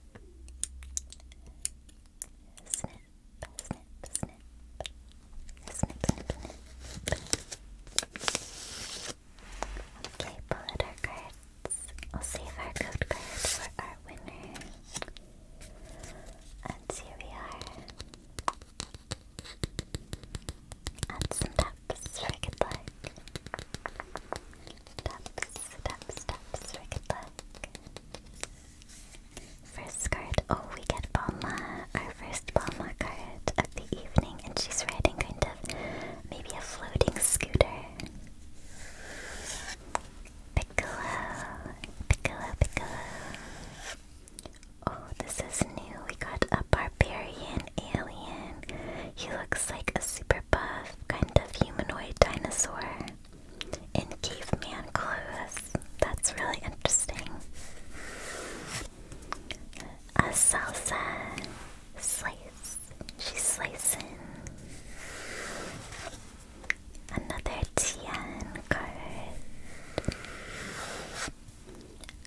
Snip, snip, Okay, pull out cards. We'll save our code card for our winner. And here we are. Add some taps for good luck. First card. Oh, we get Balma, our first Balma card of the evening, and she's riding kind of maybe a floating scooter. Piccolo, Piccolo, Piccolo. Oh, this is new. We got a barbarian alien. He looks like a super buff, kind of humanoid dinosaur in caveman clothes. That's really interesting. A salsa slice. She's slicing. Another Tian card.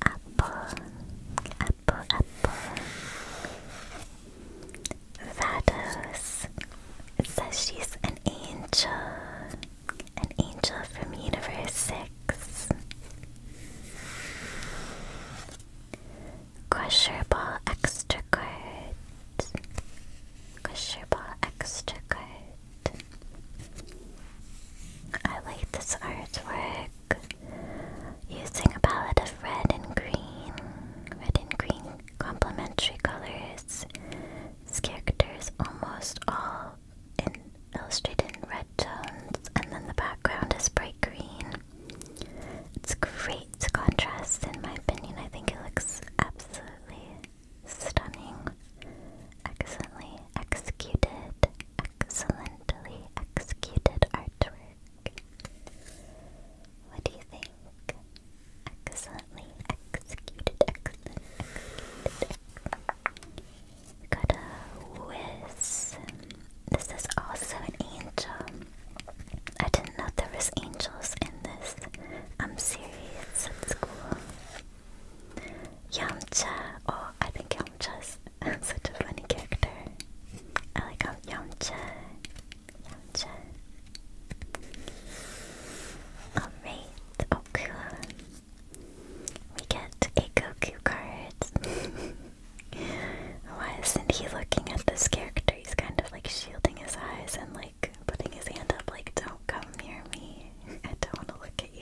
Apple apple, apple. Vados. says she's an angel. An angel from Universe 6. Crusher Ball Extra Card. I like this artwork. Using a palette of red and green, red and green complementary colors, Characters almost all in, illustrated in red tones, and then the background is bright green. It's great contrast, in my opinion. I think it looks absolutely stunning, excellently executed, excellently executed artwork. What do you think? Excellently executed, excellent, executed. whiz. This is also an angel. I didn't know there was angels in this. I'm serious. That's cool. Yamcha. Oh, I think Yamcha's such a funny character. I like Yamcha. Alright, Okua We get a Goku card Why isn't he looking at this character? He's kind of like shielding his eyes and like putting his hand up like don't come near me. I don't want to look at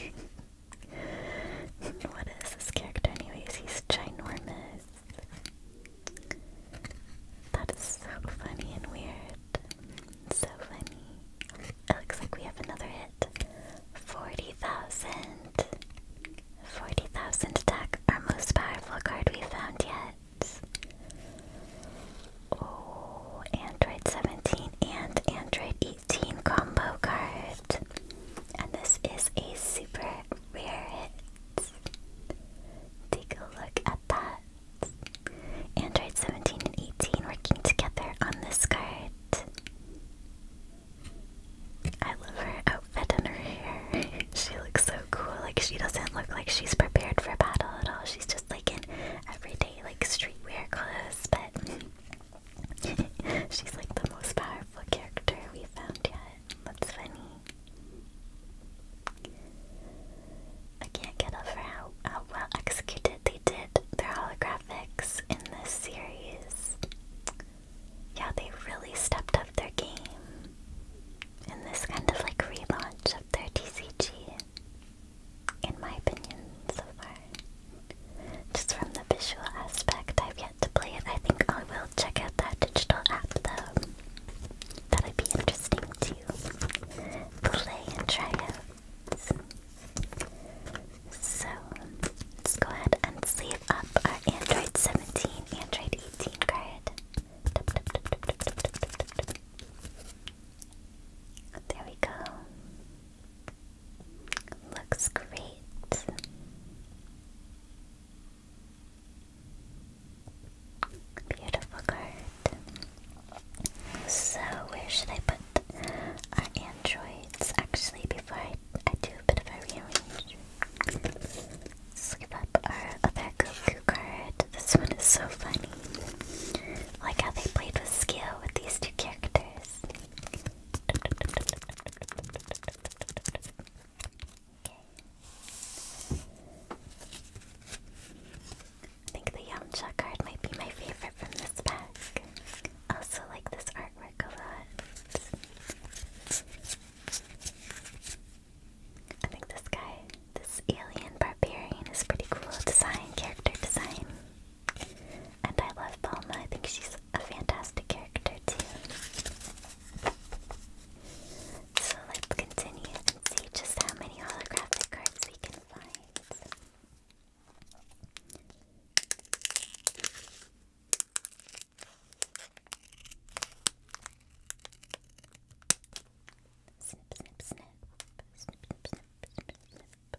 you. what is this character anyways? He's ginormous. That is so funny and weird. So funny. It looks like we have another hit. 40,000. 40,000 Our most powerful card we found yet. Oh, Android 17 and Android 18 combo card. And this is a super rare hit. Take a look at that. Android 17 and 18 working together on this card. I love her outfit and her hair. she looks so cool. Like she doesn't look like she's prepared for battle at all. She's just like in everyday like streetwear clothes, but she's like the most powerful character we found yet. That's funny. I can't get over how, how well executed they did their holographics in this series. Yeah, they really stepped up their game in this kind of like relaunch of their TCG, in my opinion, so far. Just from the visual aspect, I've to play it. I think I will check out that digital app though. That'd be interesting to play and try out. So let's go ahead and sleeve up our Android 17, Android 18 card. There we go. Looks great. Beautiful card. So, where should put our androids? Actually, before I, do a bit of a rearrange, let up our other Goku card. This one is so funny. like how they played with skill with these two characters. I think the Yamcha card might be my favorite from this pack. I also like this artwork a lot. I think this guy, this alien barbarian, is pretty cool design, character design. And I love Palma, I think she's a fantastic character too. So let's continue and see just how many holographic cards we can find. Snip, snip, snip. Snip, snip, snip, snip, snip.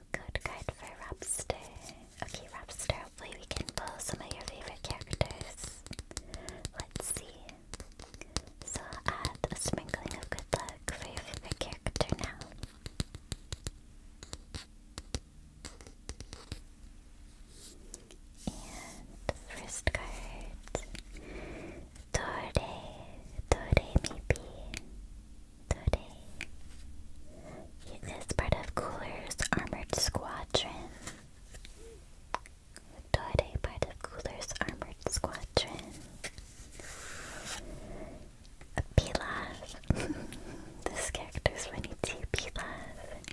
Code card for Robster. Okay, Robster, hopefully we can pull some of your favorite characters. Let's see. So I'll add a sprinkling of good luck for your favorite character now. And first card. Dore, Dore maybe. Dore. He is part of Cooler's Armored Squadron. Dore, part of Cooler's Armored Squadron. Pilaf. this character's funny too, Pilaf.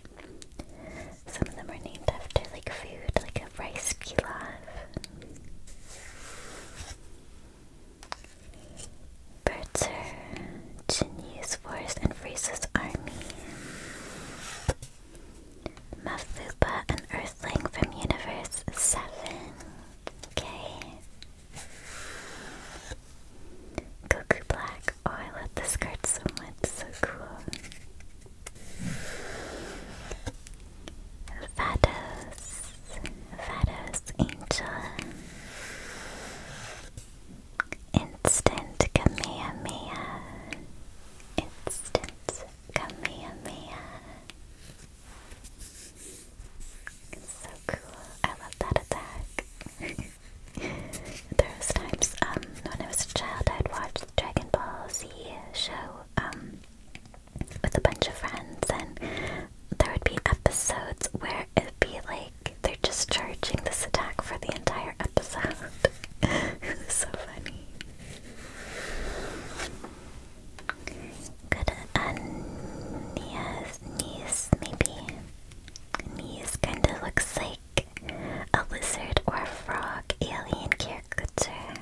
Some of them are named after like food, like a rice pilaf. Bertzer, Jinyi's force and Frieza's army. Mafupa, an earthling from Universe 7. Okay. Goku Black. Oh, I love this card so much. So cool. Vados. Vados Angel. Instant Kamehameha. Instant Kamehameha. so cool. I love that attack. there was times um, when I was a child I'd watch the Dragon Ball Z show um, with a bunch of friends and there would be episodes where it'd be like they're just charging this attack for the entire episode. so funny. Good Ania's uh, niece, maybe. Niece kind of looks like a lizard or frog alien caricature.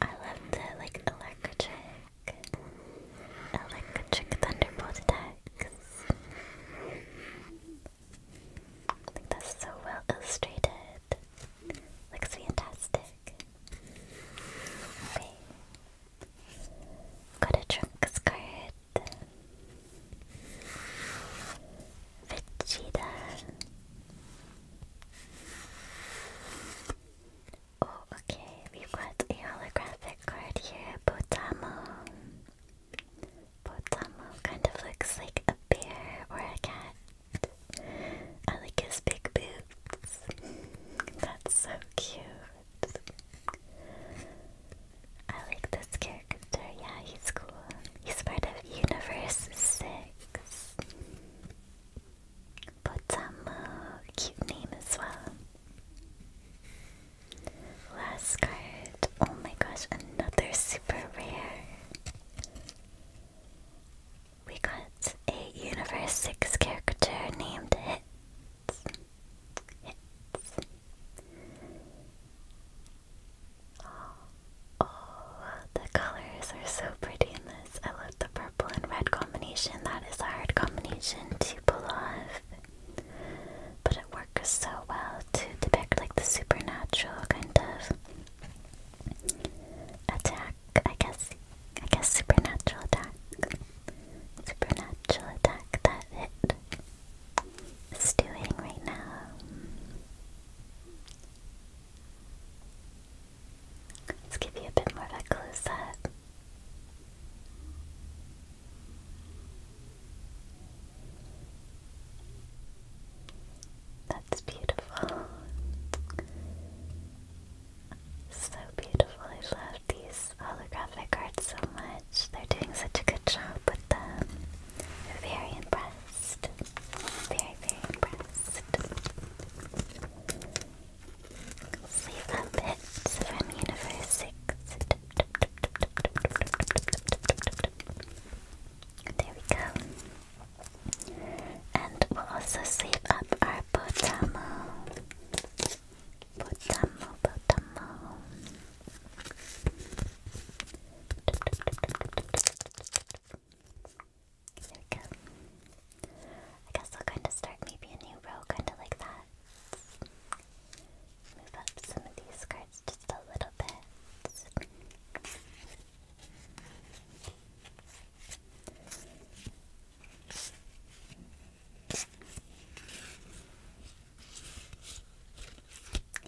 I love the like electric Electric Thunderbolt attacks. I think that's so well illustrated. Looks fantastic. Okay. Got a Trunks card. Vegeta. Oh, okay, we've got a holographic card here, Potamo. Potamo kind of looks like a bear or a cat. I like his big boots. That's so cute. I like this character. Yeah, he's cool. He's part of Universe 6. But Potamu, uh, cute name as well. Last card. Oh my gosh, another super rare. We got a Universe 6 character named Hits. oh, the colors are so pretty in this. I love the purple and red combination, that is a hard combination to pull off. But it works so well to depict like the supernatural kind of attack, I guess. I guess supernatural attack. Supernatural attack that it is doing right now. Let's give you a bit more of a close up. That's beautiful. So beautiful. I love these holographic cards so much. They're doing such a good job with them. Very impressed. Very, very impressed. Sleep Puppets from Universe 6. There we go. And we'll also sleep up our Potamo. Potamo, Potamo. There we go. I guess I'll kind of start maybe a new row, kind of like that. Move up some of these cards just a little bit.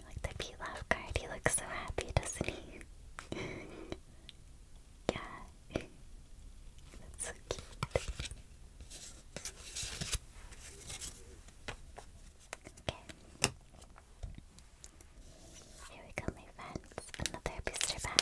Like the Pete Laugh card, he looks so happy, doesn't he? yeah, that's so Here we go, my friends. Another booster pack.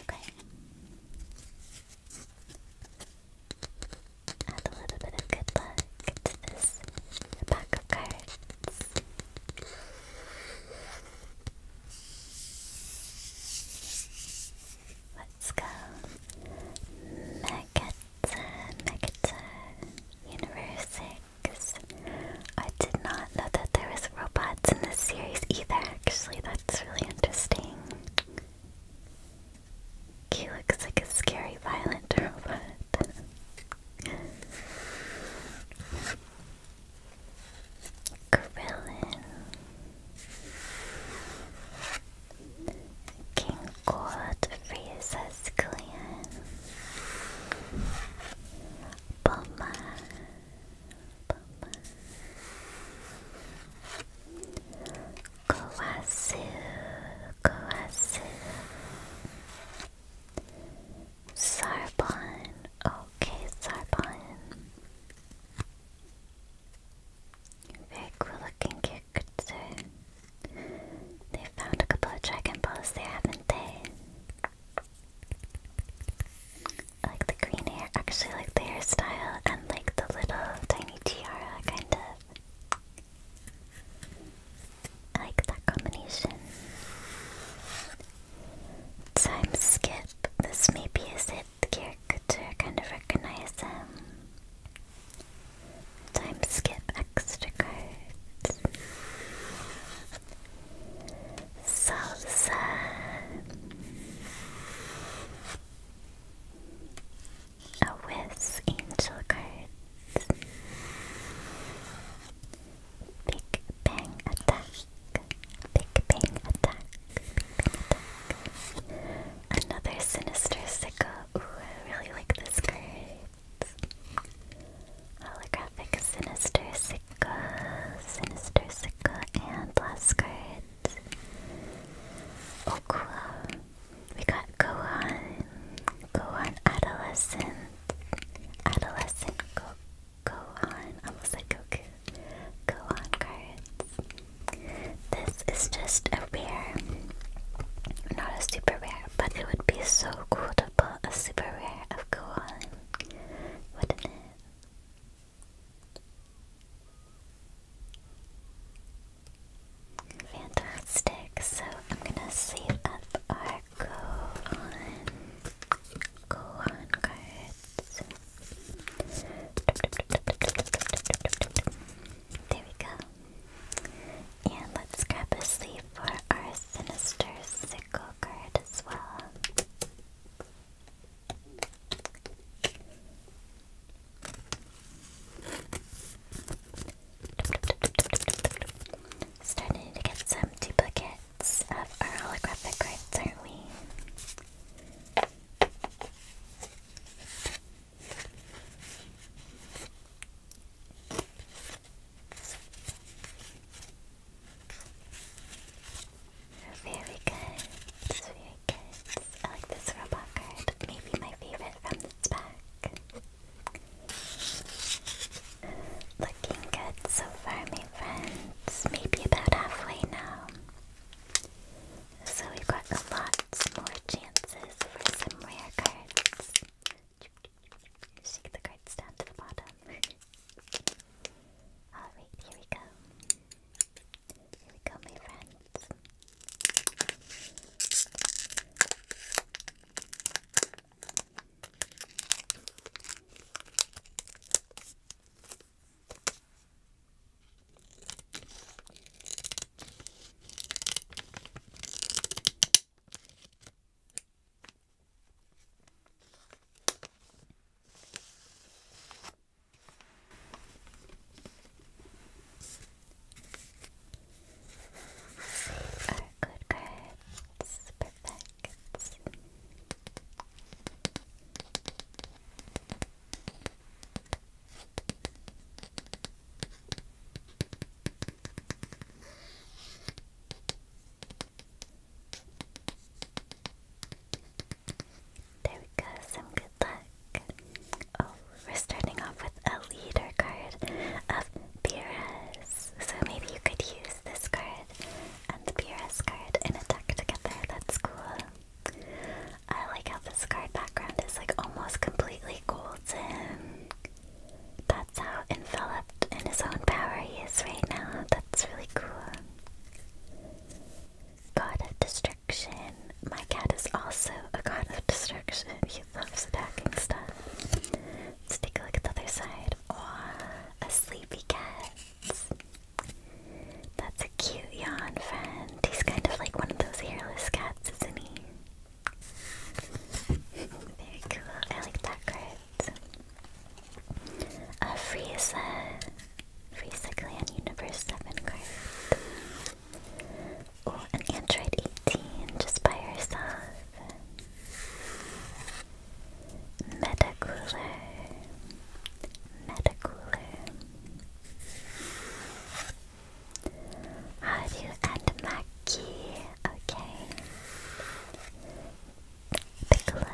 Okay. Add a little bit of good luck to this pack of cards. Let's go. Megata, Megata, Universe 6, I did not know that there was robots in this series either, actually. That's really interesting. He looks like a scary, violent robot. Krillin. King God Frieza's clan. Bulma. Kowasu, Kowasu. Sarbon, okay, Sarbon. Very cool looking character. They found a couple of Dragon Balls there, haven't they? I like the green hair. Actually, like the hairstyle and like the little tiny tiara, kind of. I like that combination. Time skip. This maybe is it. The caricature kind of recognize them. Um, Time skip extra cards salsa. A whiz angel cards. Big bang attack. Big bang attack. Big bang attack. Another sinister sicko. Ooh, I really like this card. Holographic sinister sicko. Sika, Sinister Sika, and last card. Okua. We got Gohan. Gohan Adolescent. Adolescent Go Gohan. Almost like Goku. Gohan cards. This is just a rare. Not a super rare, but it would be so cool to put a super rare of Gohan. Wouldn't it? Fantastic. So I'm gonna save up our go on cards. There we go. And let's grab a sleeve for our sinister sickle card as well. Starting to get some duplicates of our holographic cards, aren't we? Very good, very good. I like this robot card. Maybe my favorite from this pack. Looking good so far, my friends. Maybe about halfway now. So we've got a more chances for some rare cards. Shake the cards down to the bottom. Alright, here we go. Here we go, my friends. Okay, our good cards, perfect. There we go, some good luck. Oh, we're starting off with a leader card of Beerus. So maybe you could use this card and Beerus card in a together. That's cool. I like how this card background is like almost completely golden. That's how enveloped in his own power he is right now. That's really cool. God of Destruction. My cat is also a god of destruction. He loves attacking stuff. Let's take a look at the other side. Oh, a sleepy cat. That's a cute yawn friend. He's kind of like one of those hairless cats, isn't he? Very cool. I like that cat. A Frieza. Frieza Clan Universe 7 card. an Android 18 just by herself. Metacooler. Metacooler. Haru and Maki. Okay. Piccolo.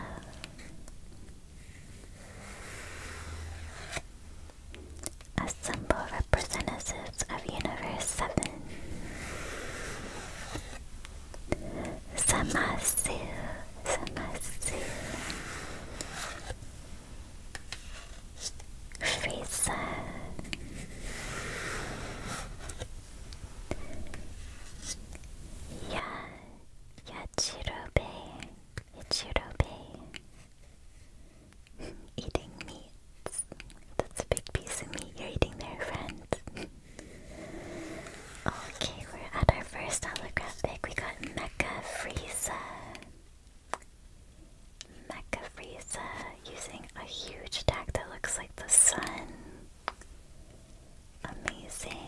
Assemble representatives of Universe 7. Samasu, Samasu. Frieza. Ya, ya Hachiro Bay, Hachiro Bay. eating meats. That's a big piece of meat you're eating there, friend. okay, we're at our first holographic. We got Mecha Frieza. Mecha Frieza using a huge attack that looks like the sun. Amazing.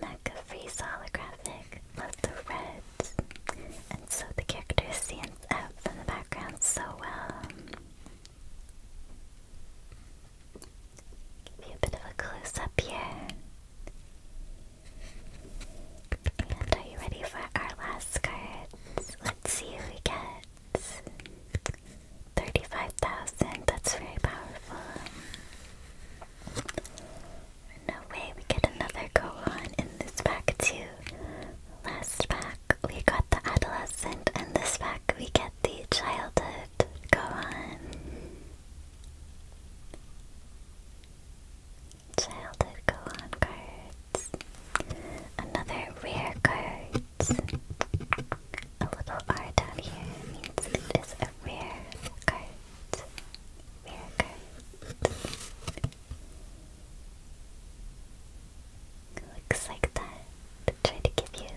Mecha-freeze holographic. Love the reds. And so the character stands out from the background so well. Give you a bit of a close-up here. are you ready for our last cards? Let's see who we get. 35,000, that's very powerful. No way, we get another Gohan in this pack too. Last pack, we got the Adolescent, and this pack, we get the Childhood Gohan. Childhood Gohan cards. Another rare card a little R down here means it is a rare card. Rare card. Looks like that. Try to give you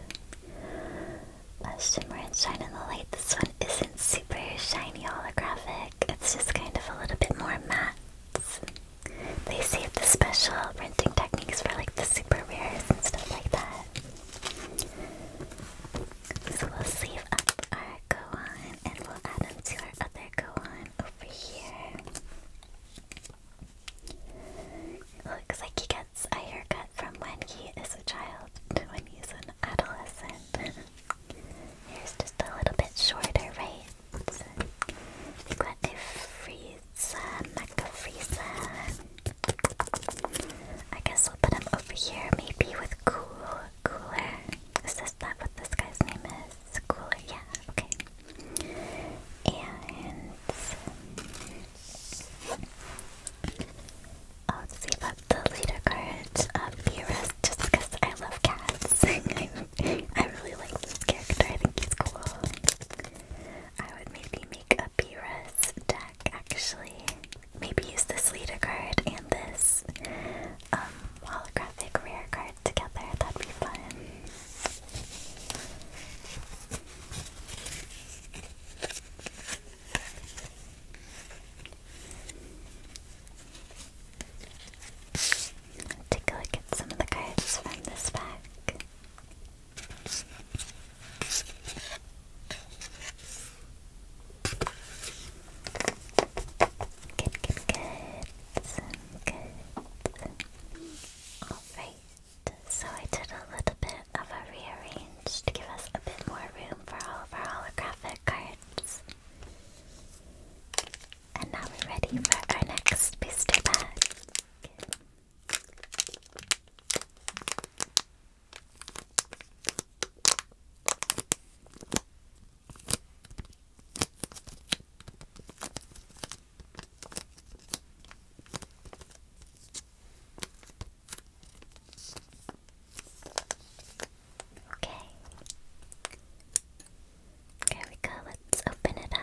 a shimmer and shine in the light. This one isn't super shiny holographic. It's just kind of a little bit more matte. They save the special printing techniques for like the super rares and stuff like that. So we'll save up our Gohan and we'll add him to our other Gohan over here. Looks like he gets a haircut from when he is a child to when he's an adolescent. Here's just a little bit shorter, right? So, we I guess we'll put him over here, maybe with Cool Cooler. Is this that what this guy's name is? Cooler, yeah, okay. And I'll save up the leader card of uh, Beerus just because I love cats. I, I really like this character, I think he's cool. I would maybe make a Beerus deck actually. Maybe use this leader card and this um, holographic rare card together. That'd be fun. Take a look at some of the cards from this pack. Good, good, good. Good. Alright, so I did a little bit of a rearrange to give us a bit more room for all of our holographic cards. And now we're ready for our next booster pack. Okay. There we go. Let's open it up.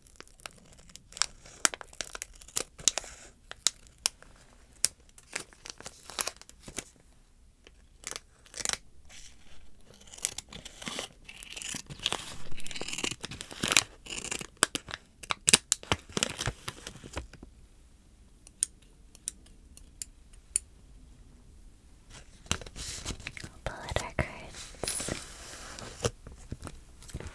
I'll pull Add some good luck, taps for good luck,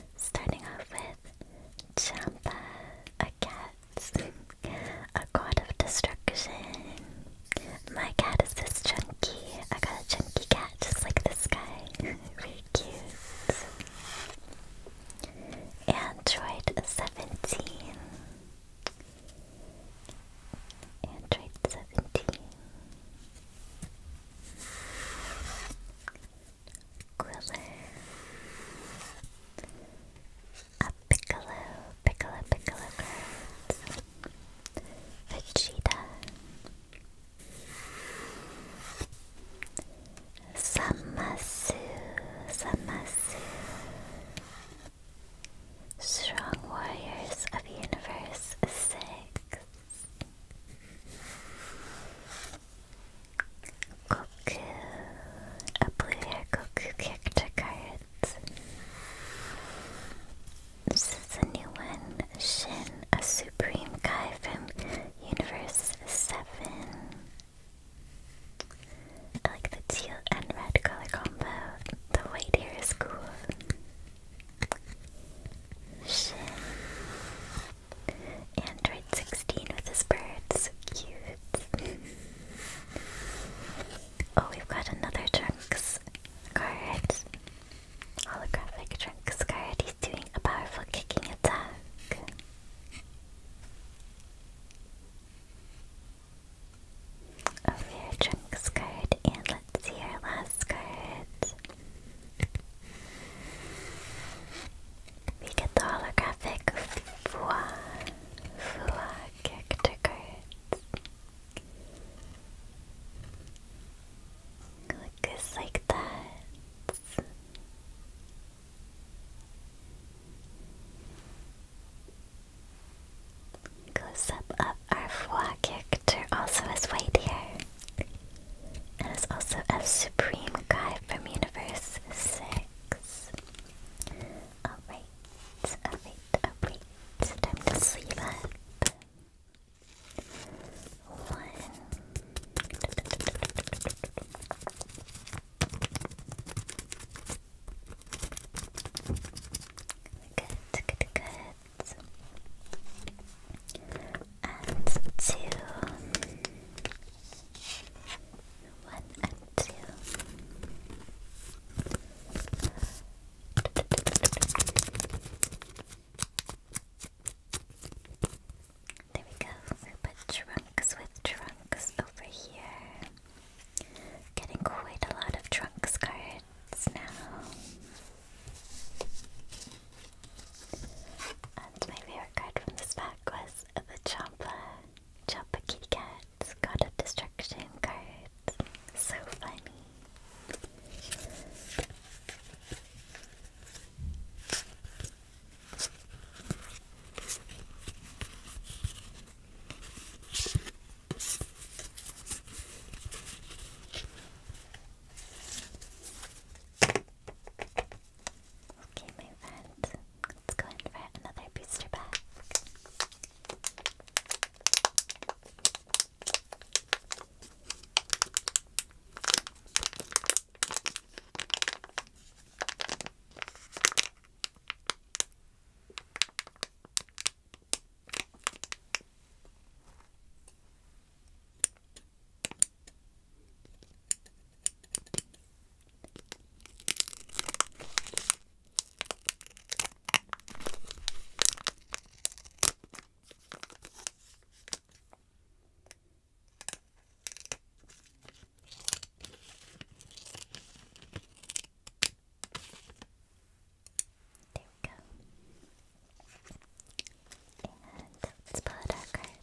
and starting off with Champa a cat, a god of destruction. My cat is this chunky. I got a chunky cat just like this guy. Very cute. Android 17. Android 17. Quiller A Piccolo, Piccolo, Piccolo cards Samasu, Samasu Strong Warriors of Universe 6 Goku, a blue hair Goku character card. This is a new one. Shin, a supreme guy from Universe 7. I like the teal and red color combo. The white hair cool. Shin, Android 16 with his bird, cute. oh, we've got another Trunks card. Holographic Trunks card. He's doing a powerful kicking attack. A oh, rare Trunks card. And let's see our last card. We get the holographic Fua Fua character cards. Looks like that. Close up of our Fua character also is white here. And is also a supreme guy from Universe 6 relax. Alright, alright, alright. Time to sleep One. Good, good, good. And two. One and two. There we go. We put trunks with trunks over here. Getting quite a lot of trunks cards now. And my favorite card from this pack was the Champa Choppa Kitty Cat's got a destruction card. So funny. Okay, my friend. Let's go in for another booster pack. There we go. And let's pull out our cards.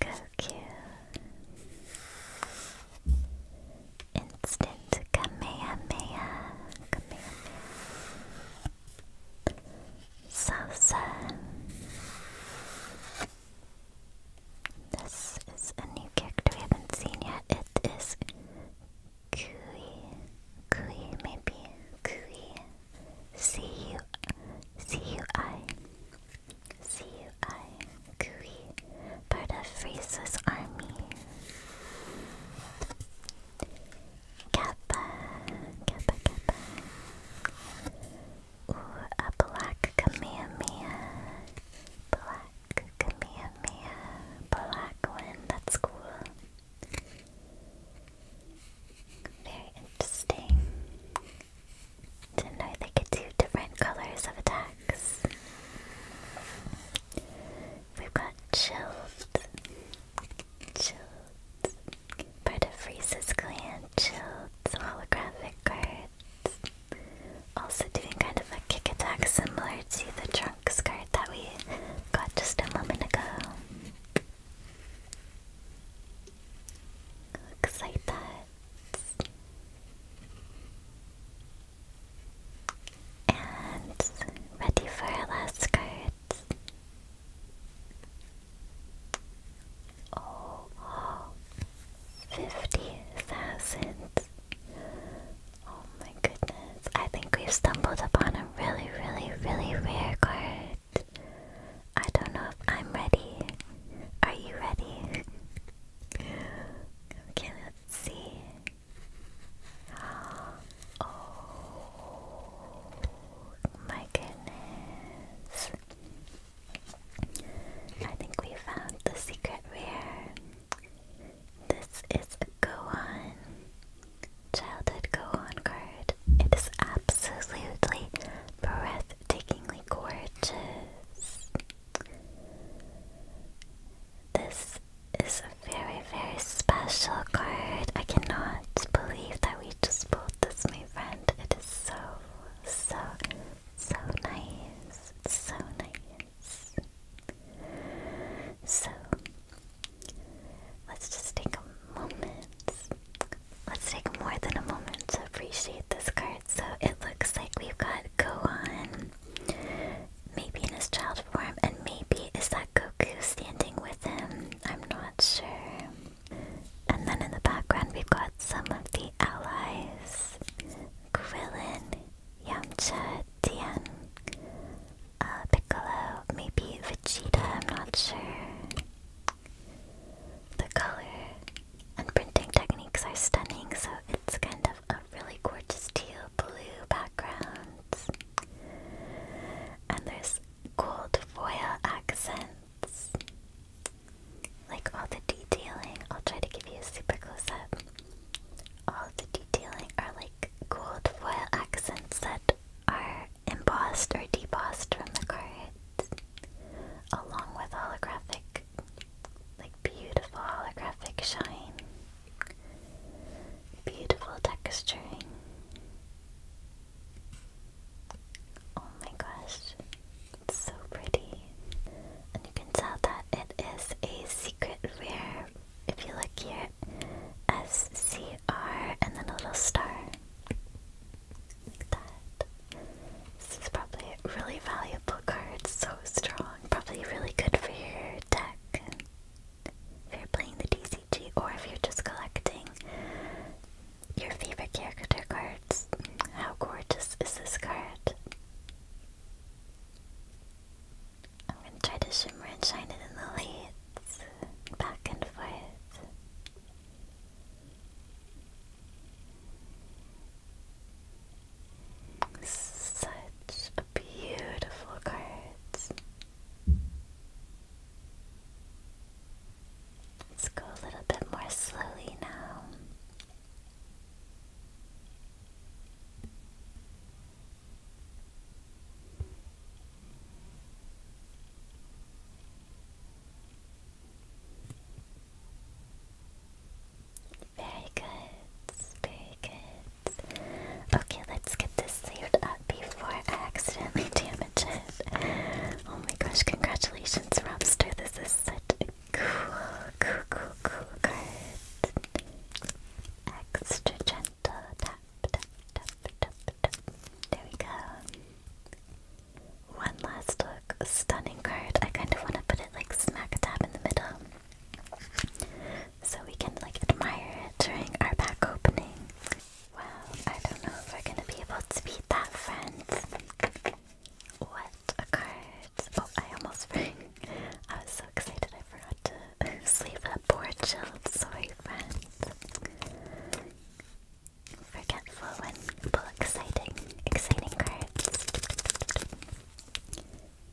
Goku Instant Kamehameha Kamehameha Salsa This is a new character we haven't seen yet. It is Kui Kui maybe Kui C U C U I CUI, Kui, part of Frieza's army. Kappa, Kappa, Kappa. Ooh, a black Kamehameha. Black Kamehameha. Black one, that's cool. Very interesting. Didn't know they could do different colors of attacks. We've got chilled. Chilled. Part of Reese's clan. Chilled. Holographic cards. Also doing kind of a kick attack similar to the Trunks card that we got just a moment ago. Looks like that and ready for our last card. Oh, oh. 50,000. Oh my goodness. I think we've stumbled upon a really, really, really rare card. I don't know if I'm ready. Are you ready? Okay, let's see. Oh my goodness. I think we found the secret rare. This is a Gohan. Childhood Gohan card. It is absolutely breathtakingly gorgeous. This is a very, very special card. I cannot believe that we just pulled this, my friend. It is so, so, so nice. It's so nice. So, let's just take a moment. Let's take more than a moment to appreciate this card. So it looks like we've got Gohan, maybe in his child form, and maybe it's that Goku standing with him? I'm not sure. And then in the background we've got some of the allies. Krillin, Yamcha, Tien, uh, Piccolo, maybe Vegeta, I'm not sure. The color and printing techniques are stunning, so it's kind of a really gorgeous teal blue background. And there's gold foil accents. Like all the detailing, I'll try to give you a super close up. All the detailing are like gold foil accents that are embossed or debossed from the card, along with holographic like beautiful holographic shine, beautiful texturing. Oh my gosh, it's so pretty. And you can tell that it is a secret rare. If you look here, SCR and then a little star. Like that. This is probably a really valuable card, so strong. Probably really good for your deck. If you're playing the DCG or if you're just collecting your favorite character cards. How gorgeous is this card? I'm gonna try to shimmer and shine it in the lights. Back and forth. Such beautiful cards. Let's go a little bit more slowly now. Very good. Very good. Okay, let's get this cleared up before I accidentally damage it. Oh my gosh, congratulations, Robster. This is such a cool, cool, cool, cool card. Extra gentle. Tap, tap, tap, tap, tap. There we go. One last look. stunning card. I kind of want to put it like smack dab in the middle. So we can like admire it during our back opening. Well, I don't know if we're gonna be able to beat that, friends. What a card. Oh, I almost rang. I was so excited I forgot to sleeve up board shield. Sorry, friends. Forgetful when pull exciting, exciting cards.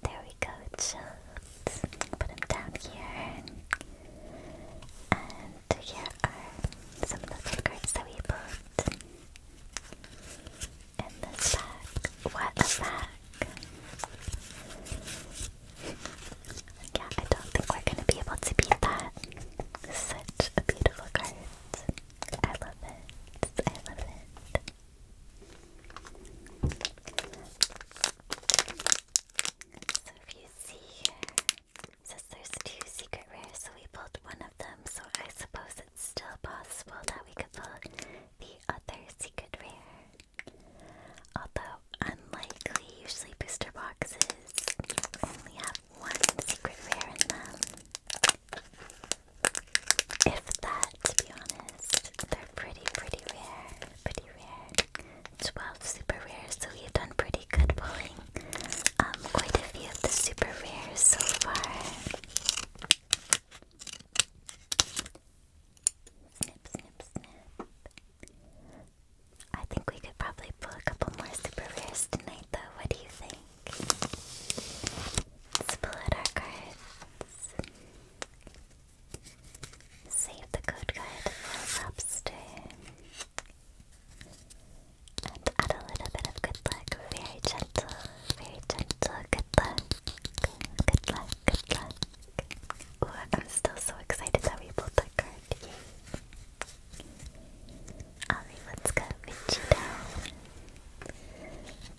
There we go, Jolt. Put him down here. And here are some other cards that we pulled in this pack. What a pack! yeah, I don't think we're gonna be able to beat that. Such a beautiful card. I love it. I love it. So if you see says there's two secret rares, so we pulled one of them, so I suppose it's still possible that we could pull the other secret rare. Although unlikely, usually booster boxes only have one secret rare in them. If that, to be honest, they're pretty, pretty rare. Pretty rare. 12 super rares, so we have done pretty good pulling. Um, quite a few of the super rares so far. Snip, snip, snip. I think we could probably pull a couple more super rares tonight, though. What do you think? Let's pull out our cards. Save the code card for Lobster. And add a little bit of good luck. Very gentle, very gentle. Good luck. Good luck, good luck. Ooh, I'm still so excited that we pulled that card. Yay. let's go. Michi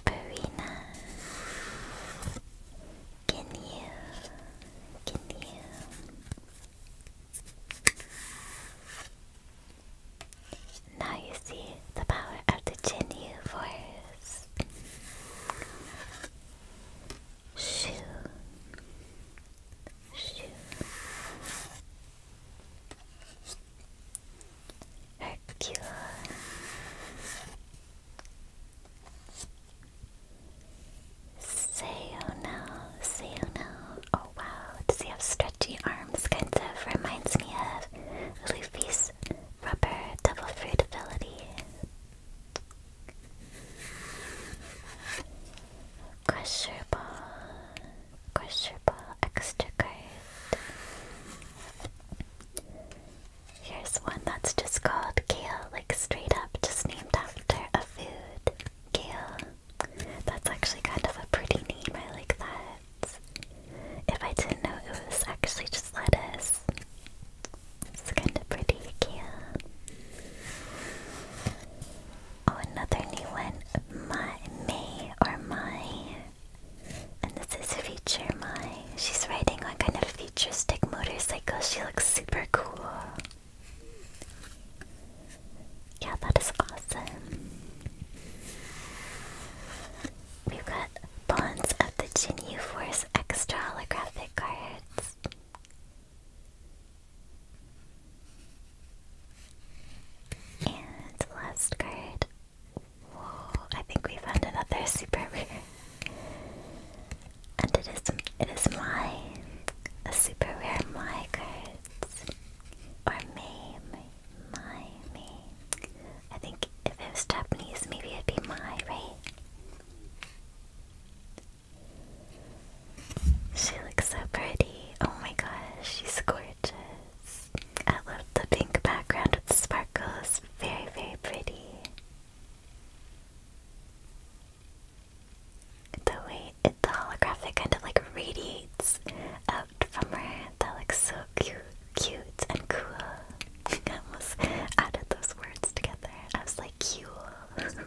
Barina, can you, Now you see the power of the Jinyu Force. Shoo. Shoo. Hercule. Sayona, Sayona. Oh wow, does he have stretchy arms? Kind of reminds me of Luffy's rubber double fruit ability. Crusher ball, crusher Here's one that's just called kale, like straight up, just named after a food. Kale. That's actually kind of a pretty name, I like that. If I didn't know it was actually just lettuce. It's kind of pretty, kale. Oh, another new one. My, May or my. And this is Future Mai. She's riding on kind of futuristic motorcycle. She looks super cool. Yeah, that is awesome. We've got Bonds of the Jinyu Force extra holographic cards. And last card, Whoa, I think we found another super rare. And it is it is my a super rare my cards. Or me, my, me. I think if it was Japanese maybe it'd be my, right? She looks so pretty. Oh my gosh, she's scored gorgeous. I love the pink background with sparkles. Very, very pretty. The way the holographic kind of like radiates out from her. That looks so cute, cute and cool. I almost added those words together. I was like, cool.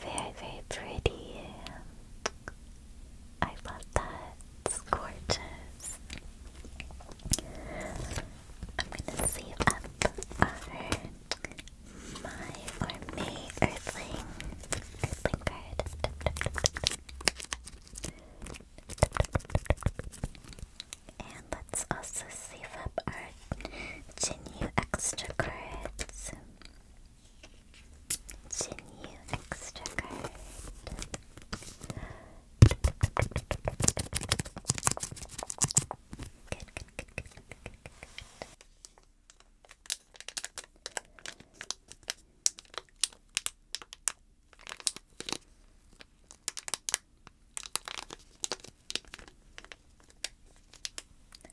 Very, very pretty. I love that. It's gorgeous. I'm gonna save up my or may earthling earthling card. And let's also save up our Jinyu extra cards. Continue extra card. Good, good, good,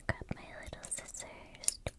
Grab my little scissors.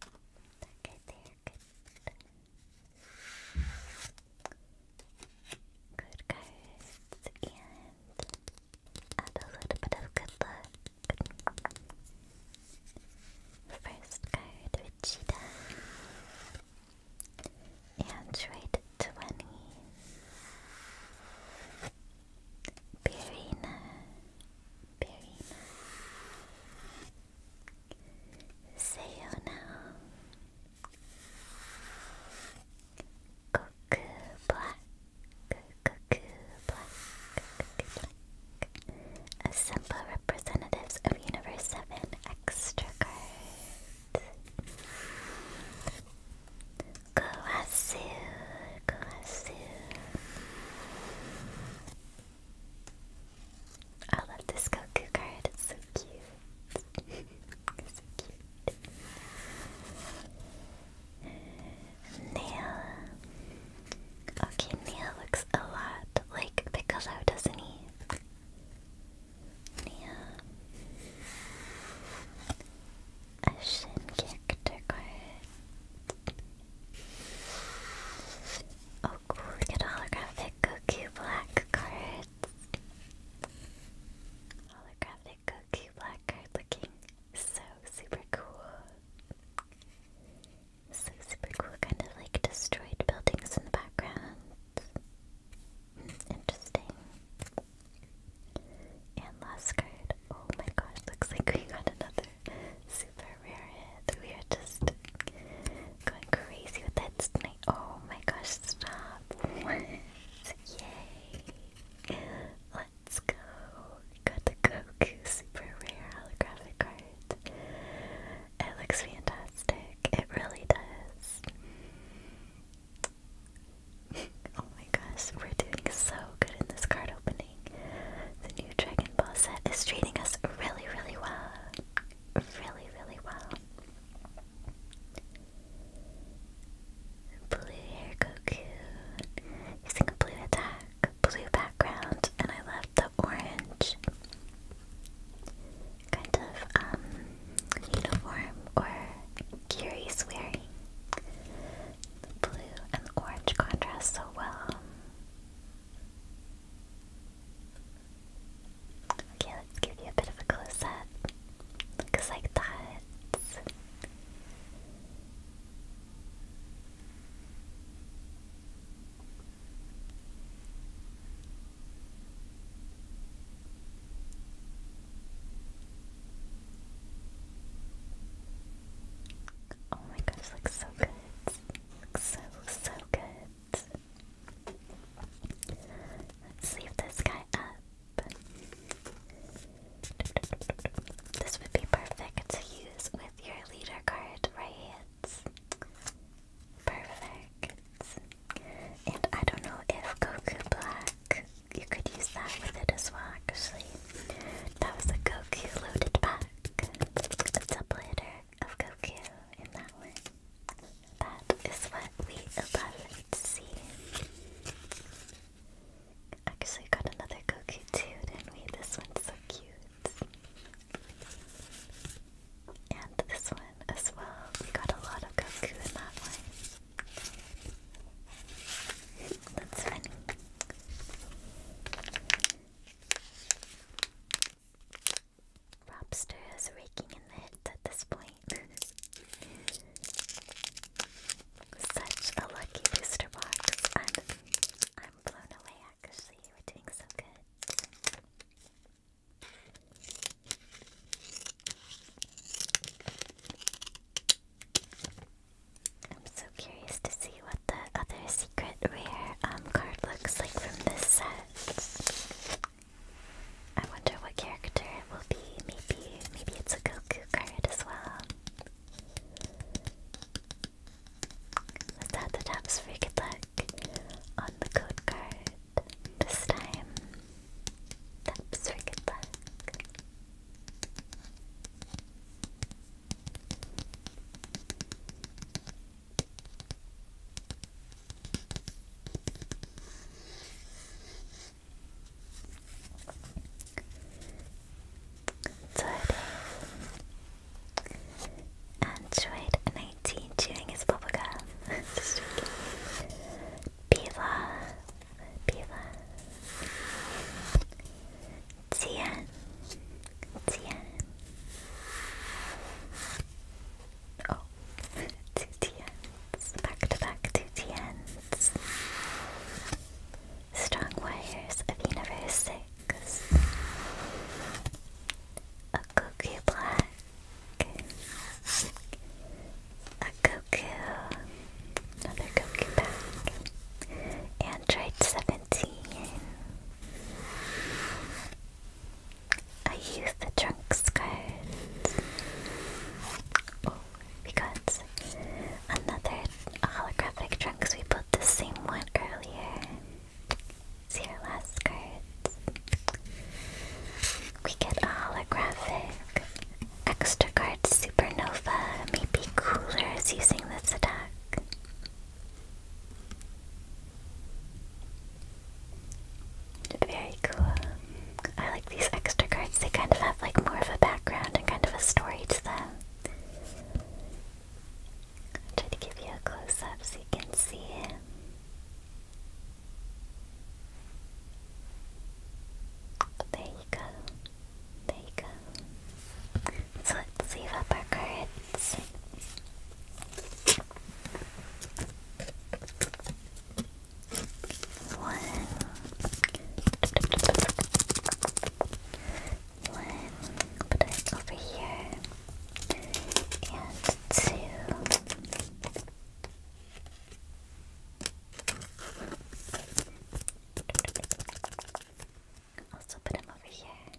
Good there, good. Good cards and a little bit of good luck. First card, Vegeta. Android 20. Birina. Perina Sayona Goku Black Goku Black Goku Black Assemble representatives of Universe 7 extra cards Goasu I love this Goku card, it's so cute. so cute. Nail. Okay, Nail looks a lot like Piccolo, doesn't he? Nail. Ocean character card. Oh cool, we holographic Goku black card. Holographic Goku black card looking so super cool. So super cool, kind of like destroyed buildings in the background. Interesting. And last card. Oh my gosh, looks like we got another super rare We are just going crazy with that snipe. Oh my gosh, stop. Yay. Let's go. We the Goku super rare holographic card. It looks fantastic. It really does. oh my gosh, we're doing so good in this card opening. The new Dragon Ball set is treating us really, really well. Really, really well. Blue hair Goku using a blue attack, blue background, and I love the orange kind of um, uniform or gear wearing. The blue and orange contrast so well. Okay, let's give you a bit of a close up. Looks like dots. Oh my gosh, looks so good so, so good. Let's leave this guy up. This would be perfect to use with your leader card, right? Perfect. And I don't know if Goku Black, you could use that with it as well, actually. That was a Goku loaded pack a doubleheader of Goku in that one. That is what we love to see. Actually, got another Goku too, didn't we? This one's so cute. And this one as well. We got a lot of Goku in that one. That's funny. Robster is raking in the hits at this point. Such a lucky booster box. I'm, I'm blown away actually. We're doing so good. I'm so curious to see what the other secret rare um, card looks like from this set. I wonder what character it will be. Maybe, maybe it's a Goku card as well. Let's add the taps for good luck on the code card this time. Taps for good luck. Android 19 chewing his bubblegum. Just joking. Tian, Tian. Oh, two Tians. Back to back two Tians. Strong wires of Universe 6. A Goku Black. A Goku. Another Goku back. Android 7 routine. I use the trunks card. we got another holographic trunks. We put the same one earlier. See our last card. We get a holographic extra card supernova. Maybe cooler is using this attack. Very cool. I like these extra cards. They kind of have like more of a background and kind of a story to them. try to give you a close up so you can see it. There you go. There you go. So let's leave up our cards. One. One. Put it over here. And two. Also put him over here.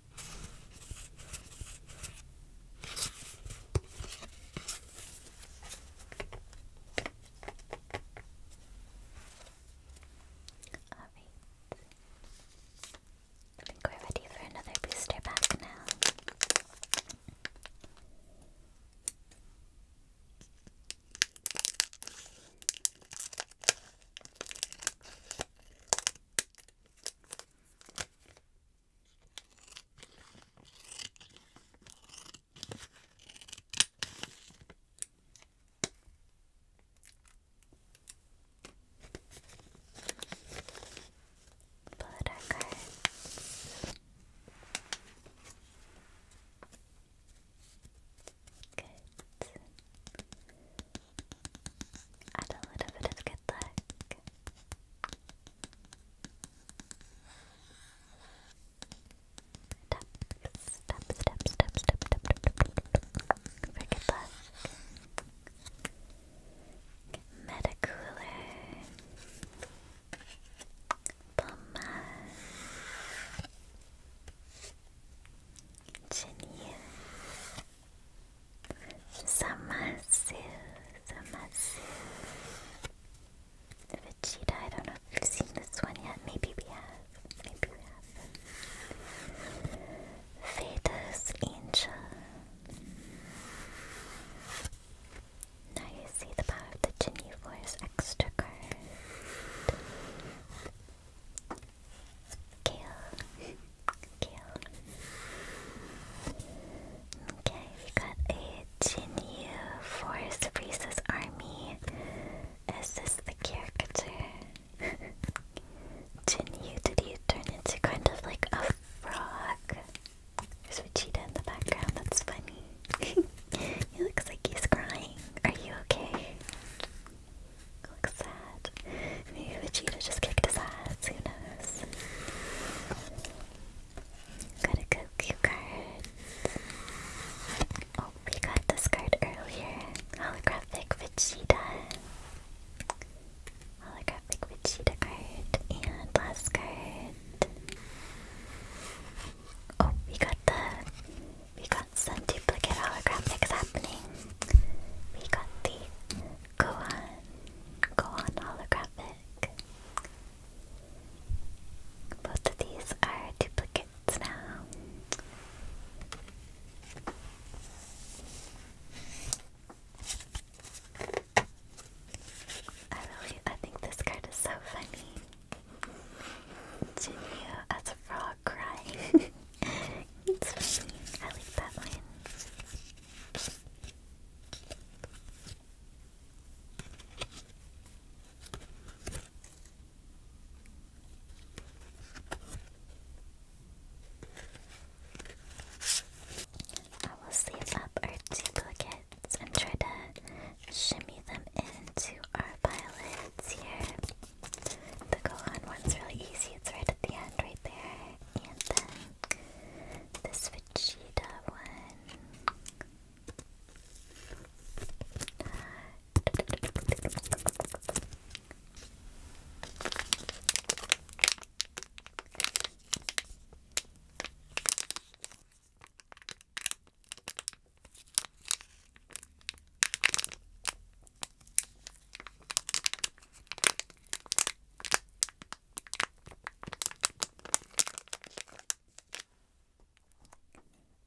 I think we're ready for another booster pack now. Pull out our Add a little bit of good luck. Tap, tap, tap, tap, tap, tap, tap, for good luck. Metacooler. Poma. Genie. Zamasu, Zamasu. The Vegeta, I don't know if we've seen this one yet. Maybe we have. Maybe we have. Veda's Angel. Now you see the power of the Genie Force extra card. Kill. Kill. Okay, we got a Jinyu for Sabrisa's army. Is the caricature? Jinyu, did you turn into kind of like a frog? There's Vegeta in the background, that's funny. he looks like he's crying. Are you okay? Looks sad. Maybe Vegeta just kicked his ass, who knows? Got a Goku card. Oh, we got this card earlier. Holographic Vegeta. Holographic Vegeta card. And last card. Oh, we got the we got some duplicate holographics happening. We got the Go on, go on holographic. Both of these are duplicates now. I really, I think this card is so funny. Jinyu as a frog crying. I like that one. I will save up our duplicates and try to shimmy them into our pilots here. The Gohan one's really easy, it's right at the end, right there and then this Vegeta one.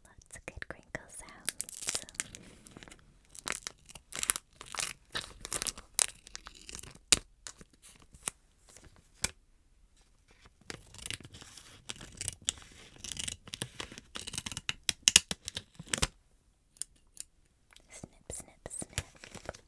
Lots of good crinkle sounds. Snip, snip, snip. Taps for good luck.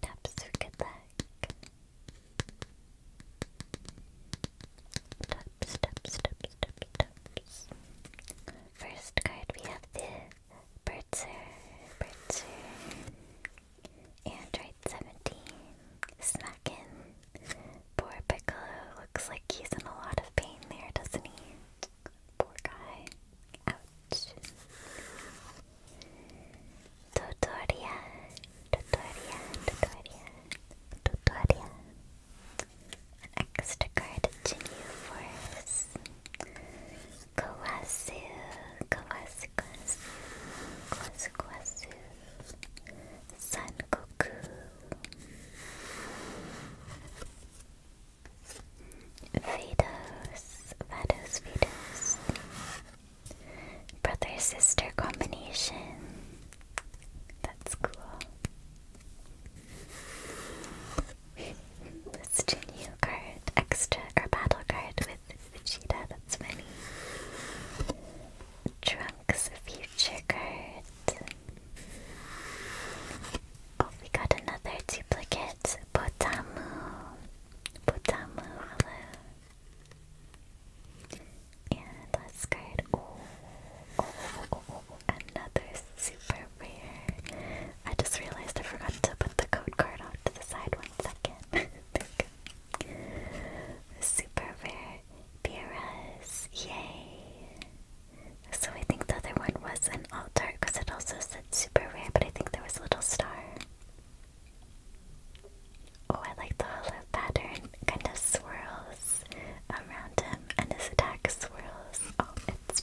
Taps, taps, taps, taps, taps. First card we have this. Bertzer, Bertzer, Android 17, Smackin. Poor Piccolo looks like he's in a lot of pain there, doesn't he? Poor guy. Ouch. Totoria, Totoria, Totoria, Totoria. extra card to you for us. Kawasu, Kawasu, Kawasu, Kawasu, Kawasu, Son Goku, Vados, Vados, Vados, brother sister combination. That's cool. List a new card, extra or battle card with Vegeta, that's many. Trunks future card. Oh, we got another duplicate. Potamu. Potamu, hello. And last card. oh. another super over I just realized I forgot to put the code card off to the side one second. Super rare Beerus. Yay! So I think the other one was an alt because it also said super rare, but I think there was a little star. Oh, I like the hollow pattern. Kind of swirls around him, and his attack swirls. Oh, it's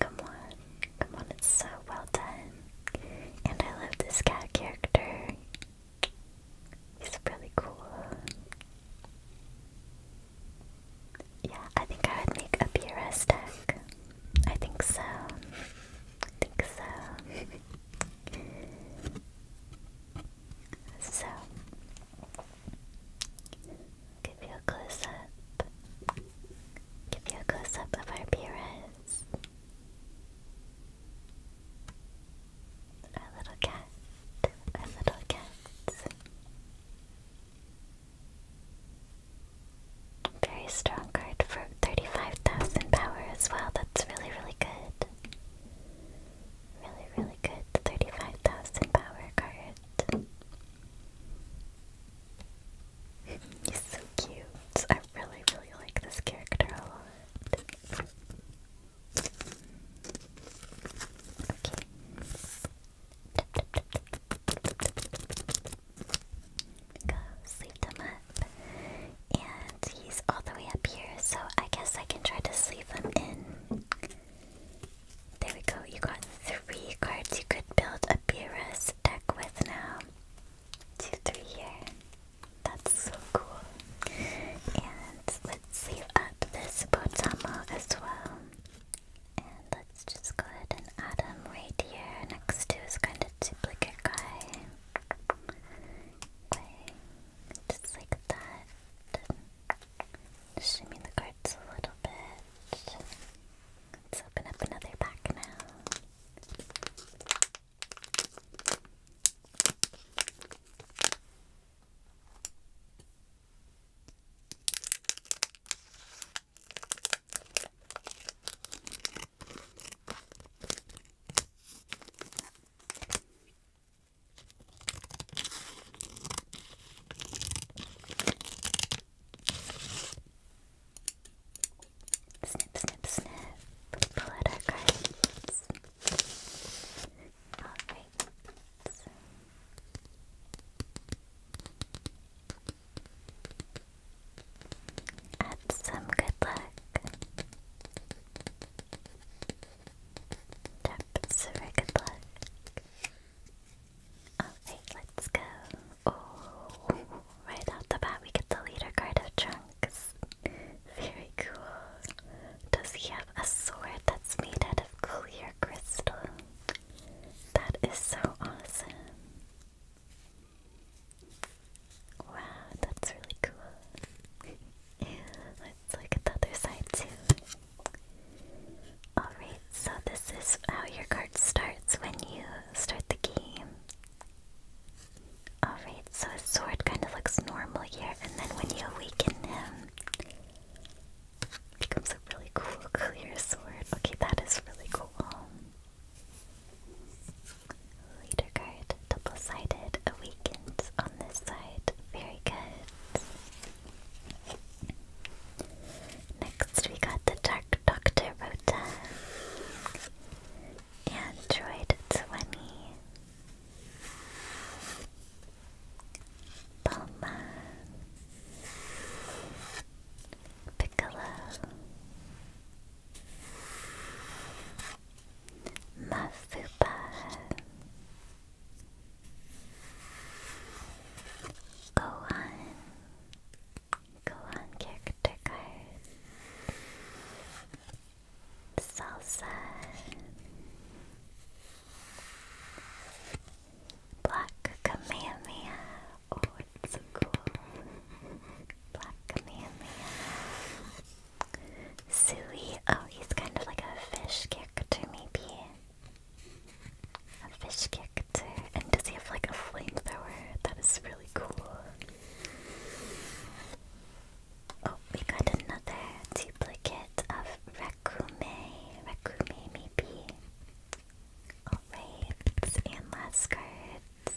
Come on, come on, it's so well done. And I love this cat character. He's really cool. Yeah, I think I would make a PRS deck. I think so. I think so. so, Give you a close up. Give you a close up of our Pires. Our little cat. Our little cat. Very strong card for 35,000 power as well. That's really, really good. Really, really good. 35,000 power card. He's so cute. I really, really like this character a lot. Go sleep him up. And he's all the way up here, so I guess I can try to sleep him in. There we go, you got three cards you could build a Beerus deck with now. Two, three here. That's so cool. And let's leave up this Botamo as well. And let's just go ahead and add him right here next to his kind of duplicate guy. Okay. Just like that. Shimmy the cards a little bit. Let's open up another pack now. Snip, snip, snip. Pull out our cards. Alright. So. Add some good luck. Tap some good luck. Okay, let's go. Oh, right off the bat, we get the leader card of Trunks. Very cool. Does he have a sword that's made out of clear crystal? That is so awesome. Wow, that's really cool. Let's look at the other side too. Alright, so this is how your card starts when you start the game. Alright, so his sword kind of looks normal here, and then when you awaken him, it becomes a really cool clear sword. Okay, that is really cool. Leader card, double sided, awakened on this side. Very good. Next, we got the Dark Doctor Rota. Android 20. Bulma. Piccolo. Mafupa. Gohan. Go on, character card. Salsa. Black Kamehameha. Oh, it's so cool. Black Kamehameha. Sui. Oh, he's kind of like a fish character, maybe. A fish character. And does he have like a flamethrower? That is really cool. Oh, we got another duplicate of Rekume. Rekume, maybe. Alright, and last cards.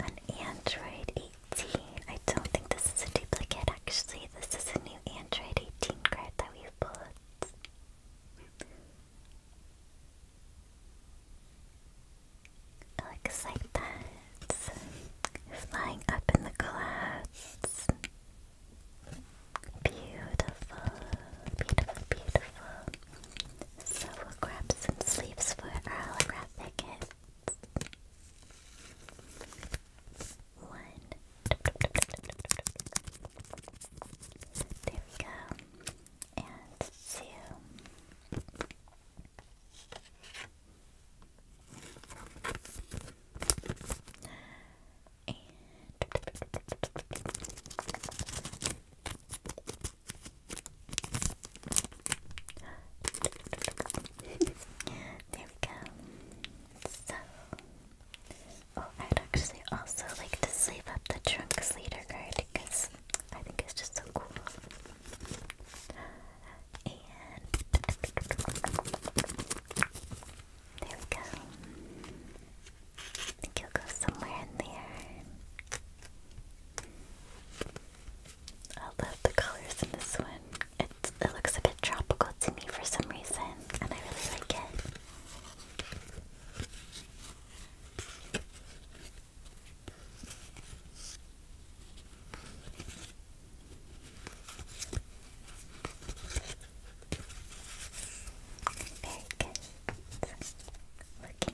An Android 18. I don't think this is a duplicate actually. This is a new Android 18 card that we've pulled. It looks like that. Flying up in the clouds. Beautiful, beautiful, beautiful. So we'll grab for holographic One, there we go. And two. And there we go. So Oh, I'd actually also like to sleeve up the Trunks leader card because I think it's just so cool. And there we go. I think he'll go somewhere in there. I love the colors in this one. It, it looks a bit tropical to me for some reason, and I really like it.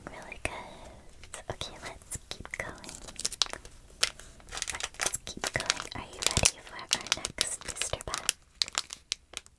Very good. Looking really good. Okay, let's keep going. Let's keep going. Are you ready for our next Mr. Bat?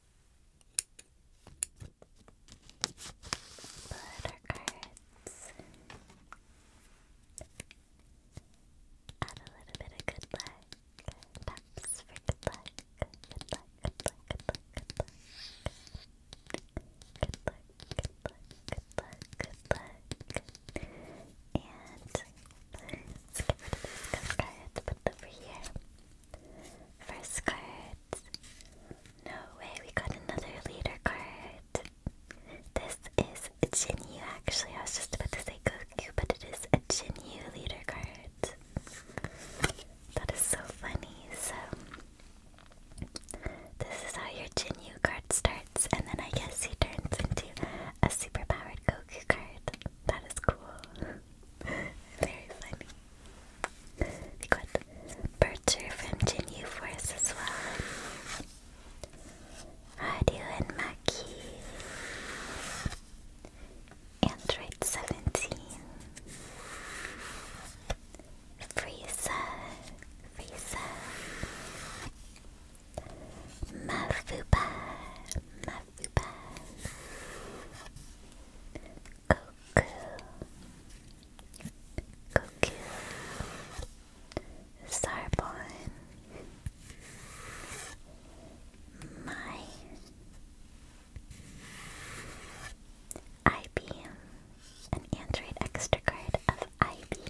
Letter cards. Add a little bit of good luck. Taps for good luck. Good luck, good luck, good luck, good luck. Good luck, good luck, good luck, good luck. And let's get put it over here. First card. No way, we got another leader card. This is a Jinyu actually. I was just about to say Goku, but it is a Jinyu leader card. That is so funny. So, this is how your Jinyu card starts, and then I guess he turns into a super powered Goku card. That is cool. Very funny. We got Bercher from Gen U Force as well. Radu and Maki. Android 17. Frieza. Frieza. Mafuba. Fluffy Buzz, Goku, Goku, Sarbon, My, IBM, an android extra card of IBM,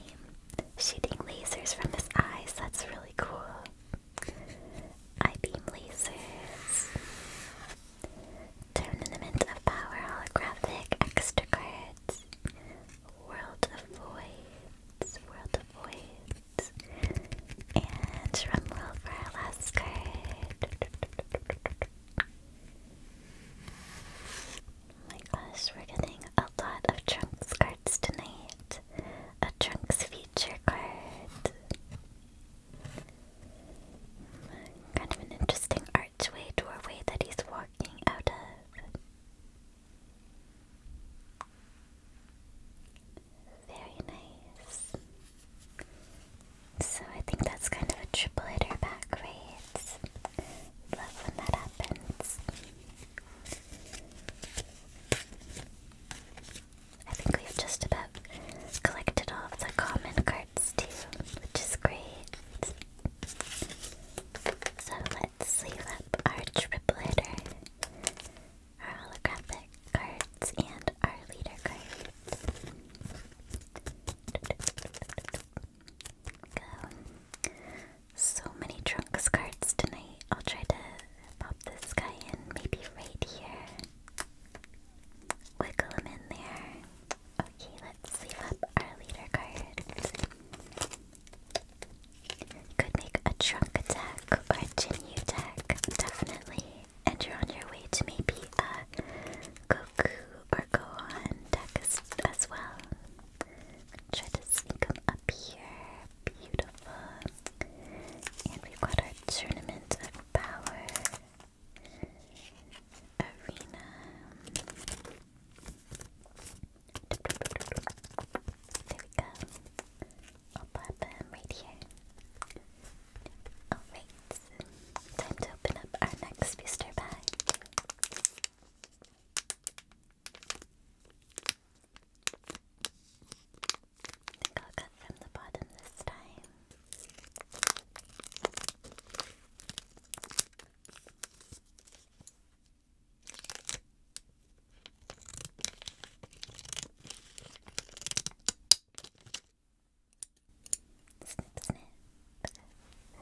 shooting lasers from his eyes, that's really cool. I beam lasers. Tournament of Power Holographic Extra World of Voids. World of Voids. And Drumroll for our last Oh my gosh, we're getting a lot of Trunks cards tonight. A Trunks feature card. Kind of an interesting archway doorway that he's walking out of. Very nice. So I think that's kind of a triple hitter back, right? Love when that happens. I think we've just about collected all of the common cards too, which is great. So let's leave up our tripler, our holographic cards, and our leader cards. So many trunks cards tonight. I'll try to pop this guy in maybe right here. Wiggle him in there. Okay, let's leave up our leader card. Could make a trunk attack or a Jinyu attack, definitely. And you're on your way to maybe a Goku or Gohan deck as, as well. Try to sneak him up here. Beautiful. And we've got our Tournament of Power. Arena. There we go. I'll pop him right here. Alright, time to open up our next booster bag. I think I'll cut from the bottom this time. Snip, snip.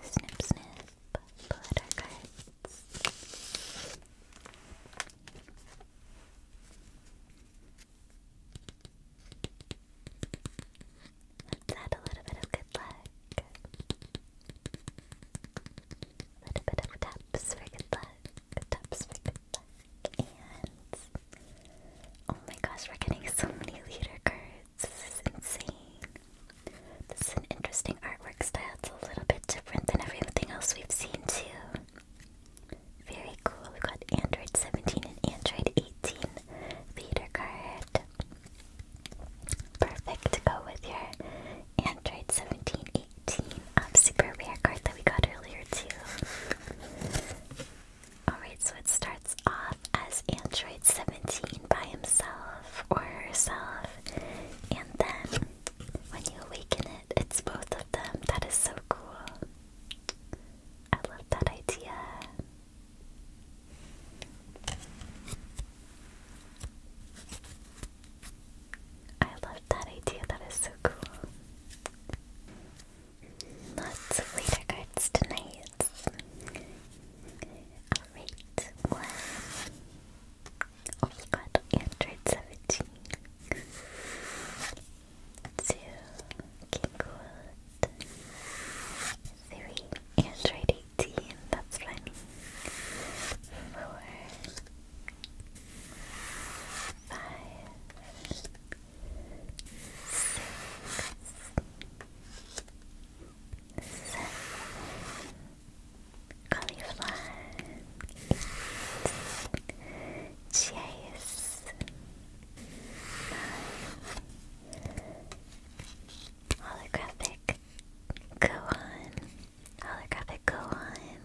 Snip, snip. Pull out our Let's add a little bit of good luck. A little bit of taps for good luck. Taps for good luck. And oh my gosh, we're getting so many leader cards. This is insane. This is an interesting artwork style. It's a little bit different than everything else we've seen too. Very cool. We've got Android 17 and Android 18 leader card. Perfect to go with your Android 17, 18 um, super rare card that we got earlier too. Alright, so it starts off as Android 17 by himself or herself, and then when you awaken it, it's both of them. That is so cool. I love that idea. I love that idea. That is so cool. Lots of leader cards tonight. Alright, one. Oh, we got Android 17 two, three, Android 18, that's funny, four, five, six, seven, cauliflower, eight, Holographic Gohan. Holographic Gohan.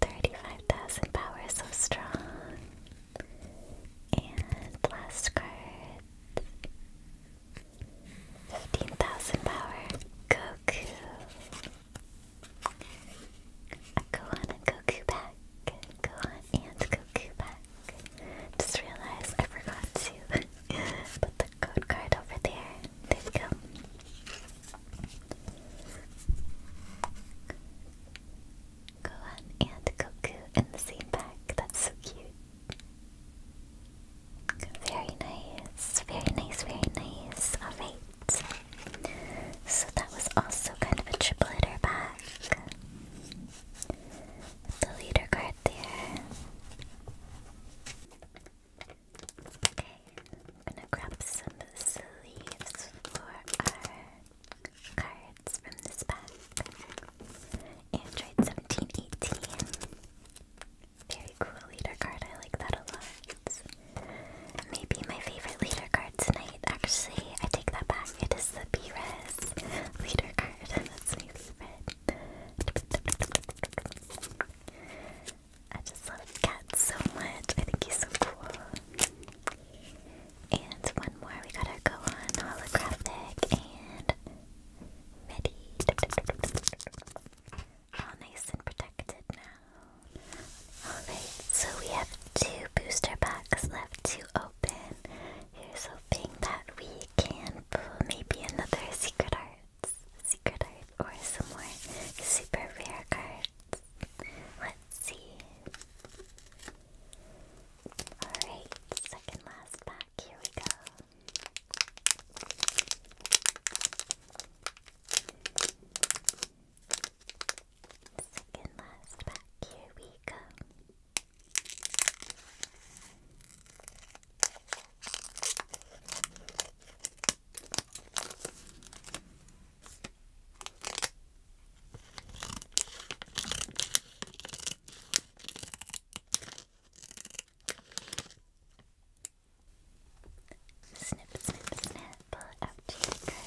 35,000 power, so strong. And blast card. 15,000 power, Goku. Gohan and Goku pack. Gohan and Goku back. Just realized I forgot to put the code card over there. There we go. Gohan and Goku in the same pack. That's so cute. Very nice. Very nice, very nice. Alright. So that was also kind of a triple hitter back. The leader card there. Okay, I'm gonna grab some sleeves for our cards from this pack. Android 1718. Very cool leader card, I like that a lot. Maybe my favorite leader card tonight. Actually, I take that back. It is the B Res leader card. That's my favorite. I just love Cat so much. I think he's so cool. And one more. We got our go on holographic and ready. All nice and protected now. Alright, so we have two booster packs left to open. Here's hoping that we can pull maybe another Secret Arts, Secret Art, or some more super rare cards. Let's see. Alright, second last pack, here we go. Second last pack, here we go. Snip, snip, snip, pull out your cards.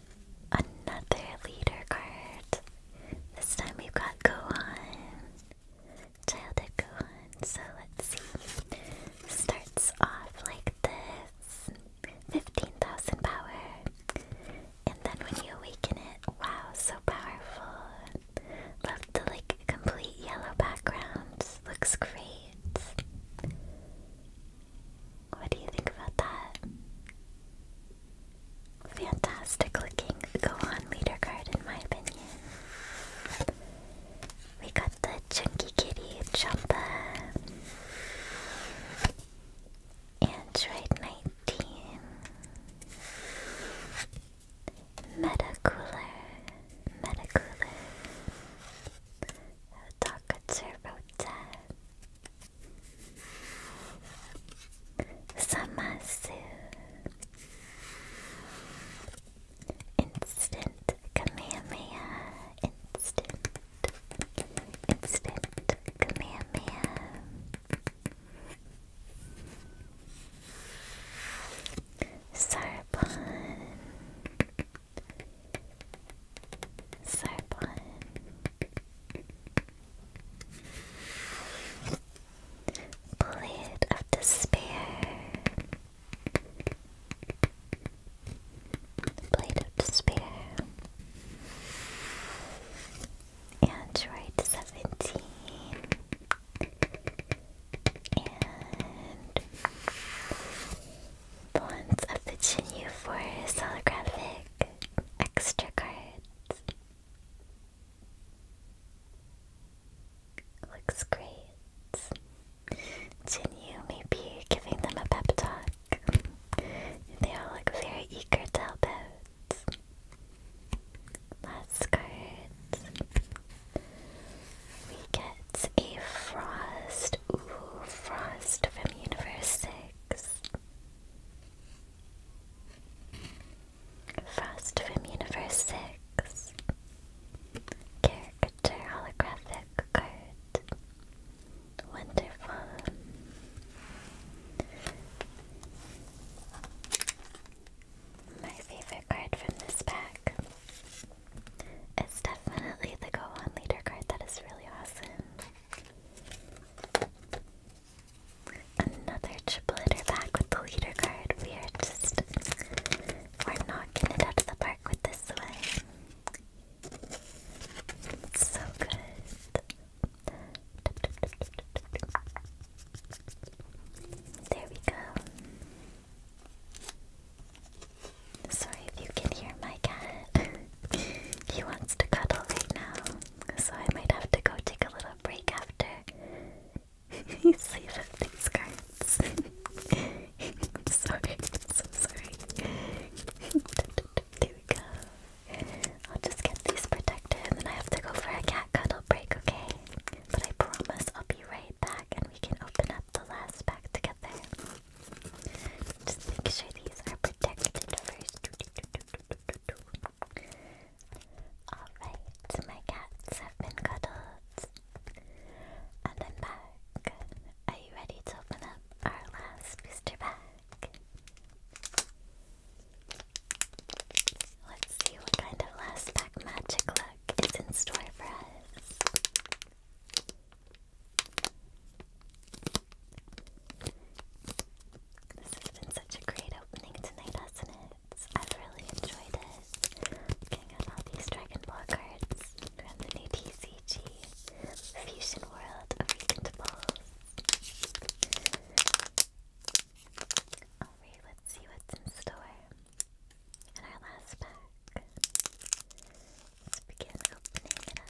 another leader card. This time we've got Gohan. Childhood Gohan. So let's see. Starts off like this 15,000 power. And then when you awaken it, wow, so powerful. Love the like complete yellow background. Looks great. What do you think about that? Fantastic looking Gohan leader card in my opinion. We got the Chunky Kitty Chumpa and Ride 19 Metacooler Metacooler Takatsurota Samasu Instant Kamehameha Instant Instant Kamehameha Sarpon Sarpon Poet of Despair. Blade of Despair. Android 17. And Bonds of the Chinyu Forest holographic extra cards. Looks great. Jinyu may be giving them a pep talk. they all look very eager to help out. Last card. We get a Frost. Ooh, Frost from Universe 6. Frost from Universe 6. Caricature holographic card. Wonderful. My favorite card from this pack is definitely the Go On Leader card. That is really awesome. Another triple back with the card. We are just we're knocking it out of the park with this one. so good. There we go. Sorry if you can hear my cat. he wants to cuddle right now so I might have to go take a little break after you save up these cards. I'm sorry, I'm so sorry. there we go. I'll just get these protected and then I have to go for a cat cuddle break, okay? But I promise I'll be right back and we can open up the last pack together. Just make sure these are protected first. Alright, my cats have been cuddled. And i Are you ready to open up our last booster bag? Let's see what kind of last pack magic look is in store for us. This has been such a great opening tonight, hasn't it? I've really enjoyed it. Getting out all these Dragon Ball cards from the new TCG Fusion World of Recent Balls. Alright, let's see what's in store in our last pack. begin opening it up.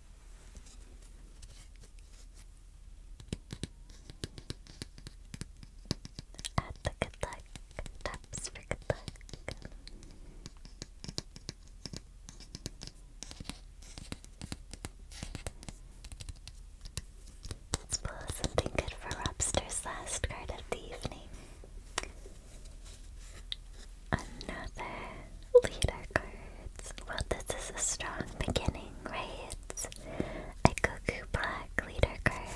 Add the good luck. Taps for good luck. let something good for Robster's last card of the evening. Another leader cards. Well, this is a strong beginning, right? A Goku Black leader card.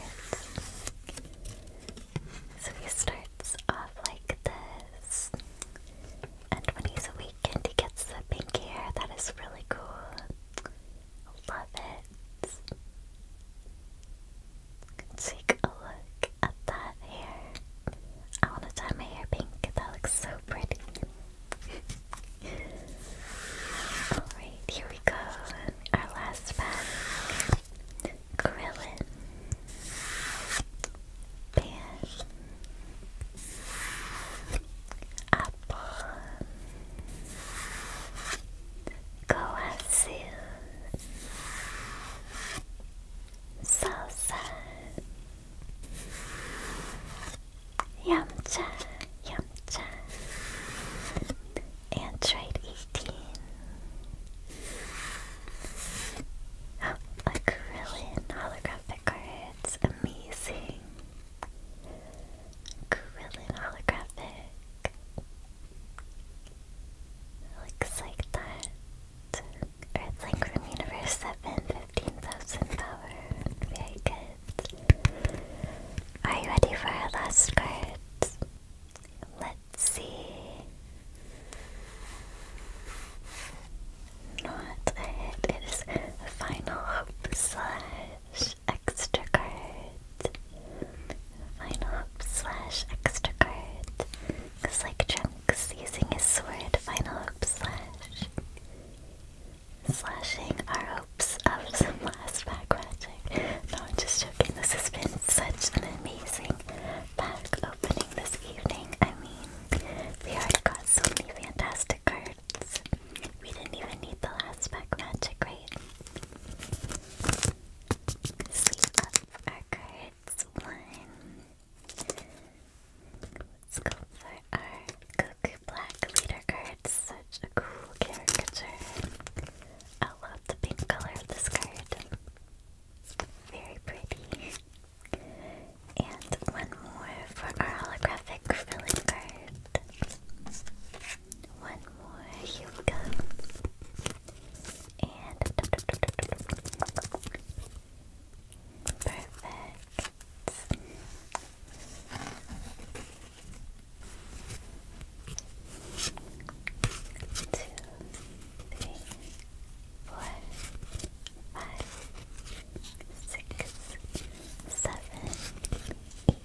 So he starts off like this. And when he's awakened, he gets the pink hair. That is really cool. Love it. Take a look at that hair. I want to dye my hair pink. That looks so pretty. Alright, here we go. Our last pack. Krillin. Pan. Apple. Goatsu. Salsa. Yamcha, Yamcha. Android 18. Oh, a Krillin holographic cards. Amazing. Krillin holographic. Looks like that. Earthlink from Universe 7, power. Very good. Are you ready for our last card? Let's see. Not It is a final hope slash extra card. Final hope slash extra card. Because, like Trump Monks using his sword, final hope slash. Slashing our hopes of some last pack magic. No, joking. This has been such an amazing pack opening this evening. I mean, we have got so many fantastic cards. We didn't even need the last pack magic, right? Sweep up our cards. One, Let's go for our Goku Black leader card. Such a cool caricature. I love the pink color of this card. Very pretty. And one more for our holographic filling card. One more, here we go. And Perfect. Two, three, four, five, six, seven, eight,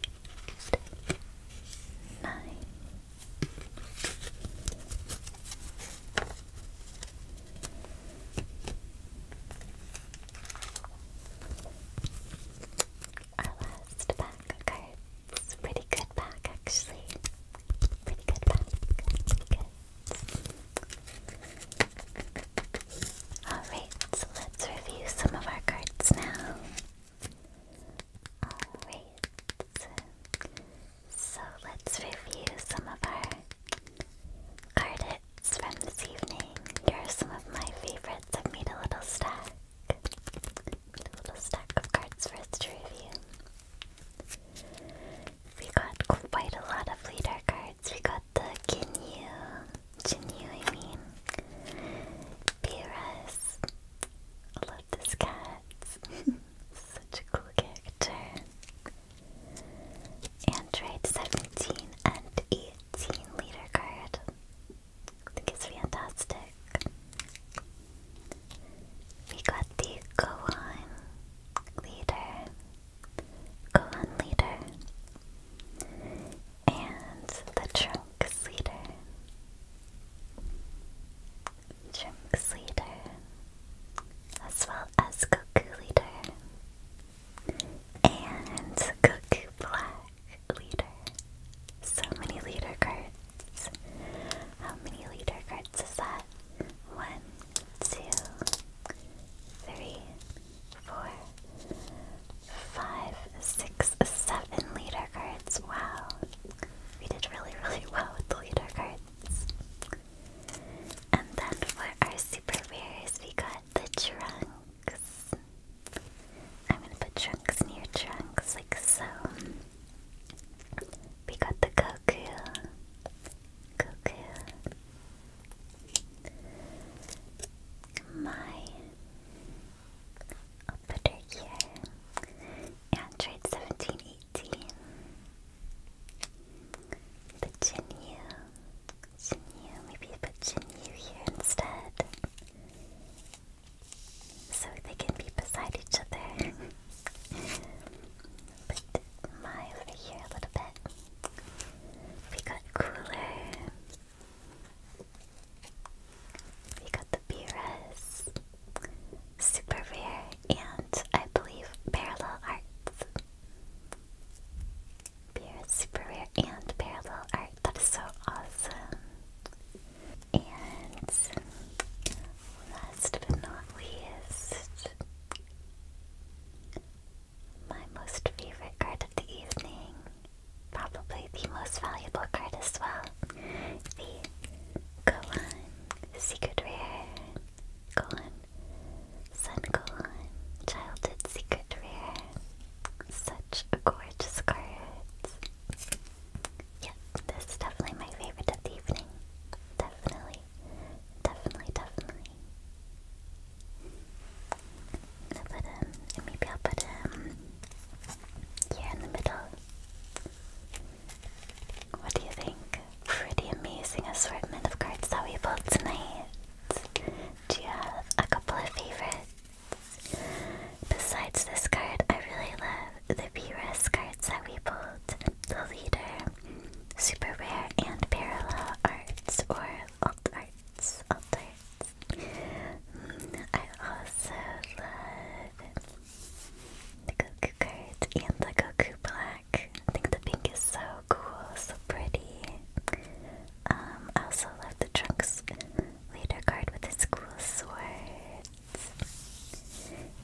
nine. Our last pack of cards. Pretty good pack, actually. Pretty good pack. Alright, so let's review some of our cards now. Alright. So let's review some of our cards from this evening. Here are some of my favorites. I've made a little stack. A little stack of cards for us to review. We got quite a lot of leader cards. We got the Ginyu, Ginyu I mean, Beerus, I love this cat, such a cool character. Android 17 and 18 leader card. it's fantastic. We got the Gohan leader. Gohan leader. And the Trunks leader. Trunks leader as well as Goku Leader and Goku Black Leader. So many leader cards. How many leader cards is that? One, two, three, four, five, six, seven leader cards. Wow. We did really, really well with the leader cards. And then for our super rares, we got the trunks. I'm gonna put trunks near trunks, like so. We got the Goku. Goku. My. I'll put her here. Android 1718. The Shinyu, maybe put Shinyu here instead. So they can be beside each other. put Mai over here a little bit. We got Cooler. We got the Beerus. Super Rare. And I believe Parallel Arts. Beerus rare and parallel art. That is so awesome. And last but not least, my most favorite card of the evening. Probably the most valuable card as well. The Gohan Secret Rare Gohan Sun Childhood Secret Rare. Such gorgeous cards. Yep, this is definitely my favorite of the evening. Definitely. Definitely, definitely. I'll put him, um, maybe I'll put him um, here in the middle. What do you think? pretty amazing assortment of cards that we pulled tonight. Do you have a couple of favorites? Besides this card, I really love the BRS cards that we pulled. The Leader, Super Rare, and Parallel Arts, or Alt Arts. Alt Arts. Mm, I also love the Goku cards and the Goku Black. I think the pink is so cool, so pretty. Um, I also love the Trunks leader card with its cool swords.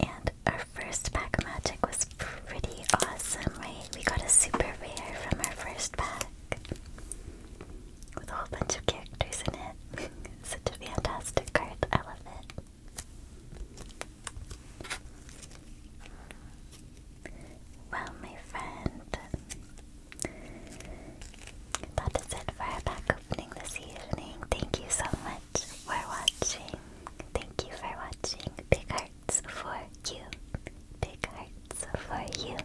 And our first pack of magic was pretty awesome, right? We got a super rare from our first pack. With a whole bunch of characters in it. Such a fantastic card, I love it. Well, my friend, that is it for our pack opening this evening. Thank you so much for watching. Thank you for watching. Big hearts for you. Big hearts for you.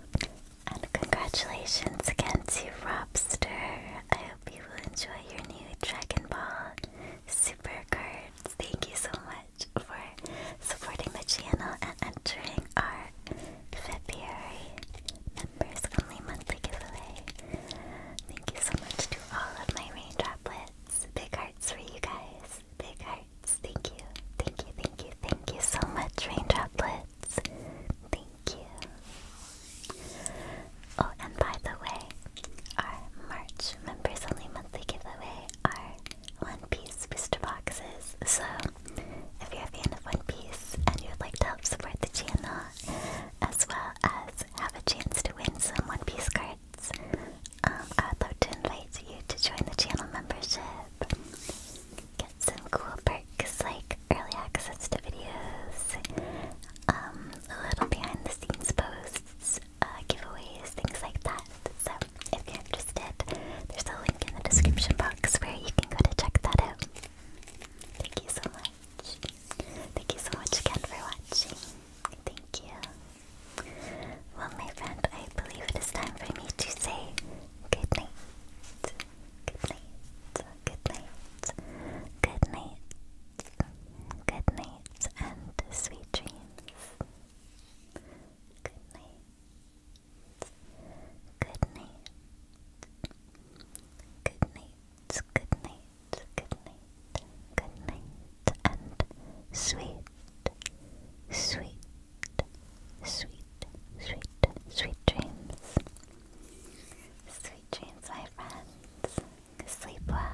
And congratulations again to Robster. I hope you will enjoy your new Dragon Ball super cards. Thank you so much for supporting the channel and entering our February members only monthly giveaway. Thank you so much to all of my rain droplets. Big hearts for you guys. Big hearts. Thank you. Thank you. Thank you. Thank you so much, rain droplets. Thank you. Oh, and by the way, our March members only monthly giveaway are one Piece booster boxes. So, if you're a fan of One Piece and you'd like to help support the channel, as well as have a chance to win some One Piece cards, um, I would like to invite you to join the channel membership. Get some cool perks like early access to videos, um, little behind the scenes posts, uh, giveaways, things like that. So if you're interested, there's a link in the description box where you can go to check that out. Thank you so much. Thank you so much again for watching. Thank you. Well, my friend, I believe it is time for me to say good night. Good night. Good night. Good night. Good night. And sweet dreams. Good night. Good night. Good night. Good night. Good night. Good night. And sweet, sweet, sweet, sweet, sweet dreams. Sweet dreams, my friends. Sleep well.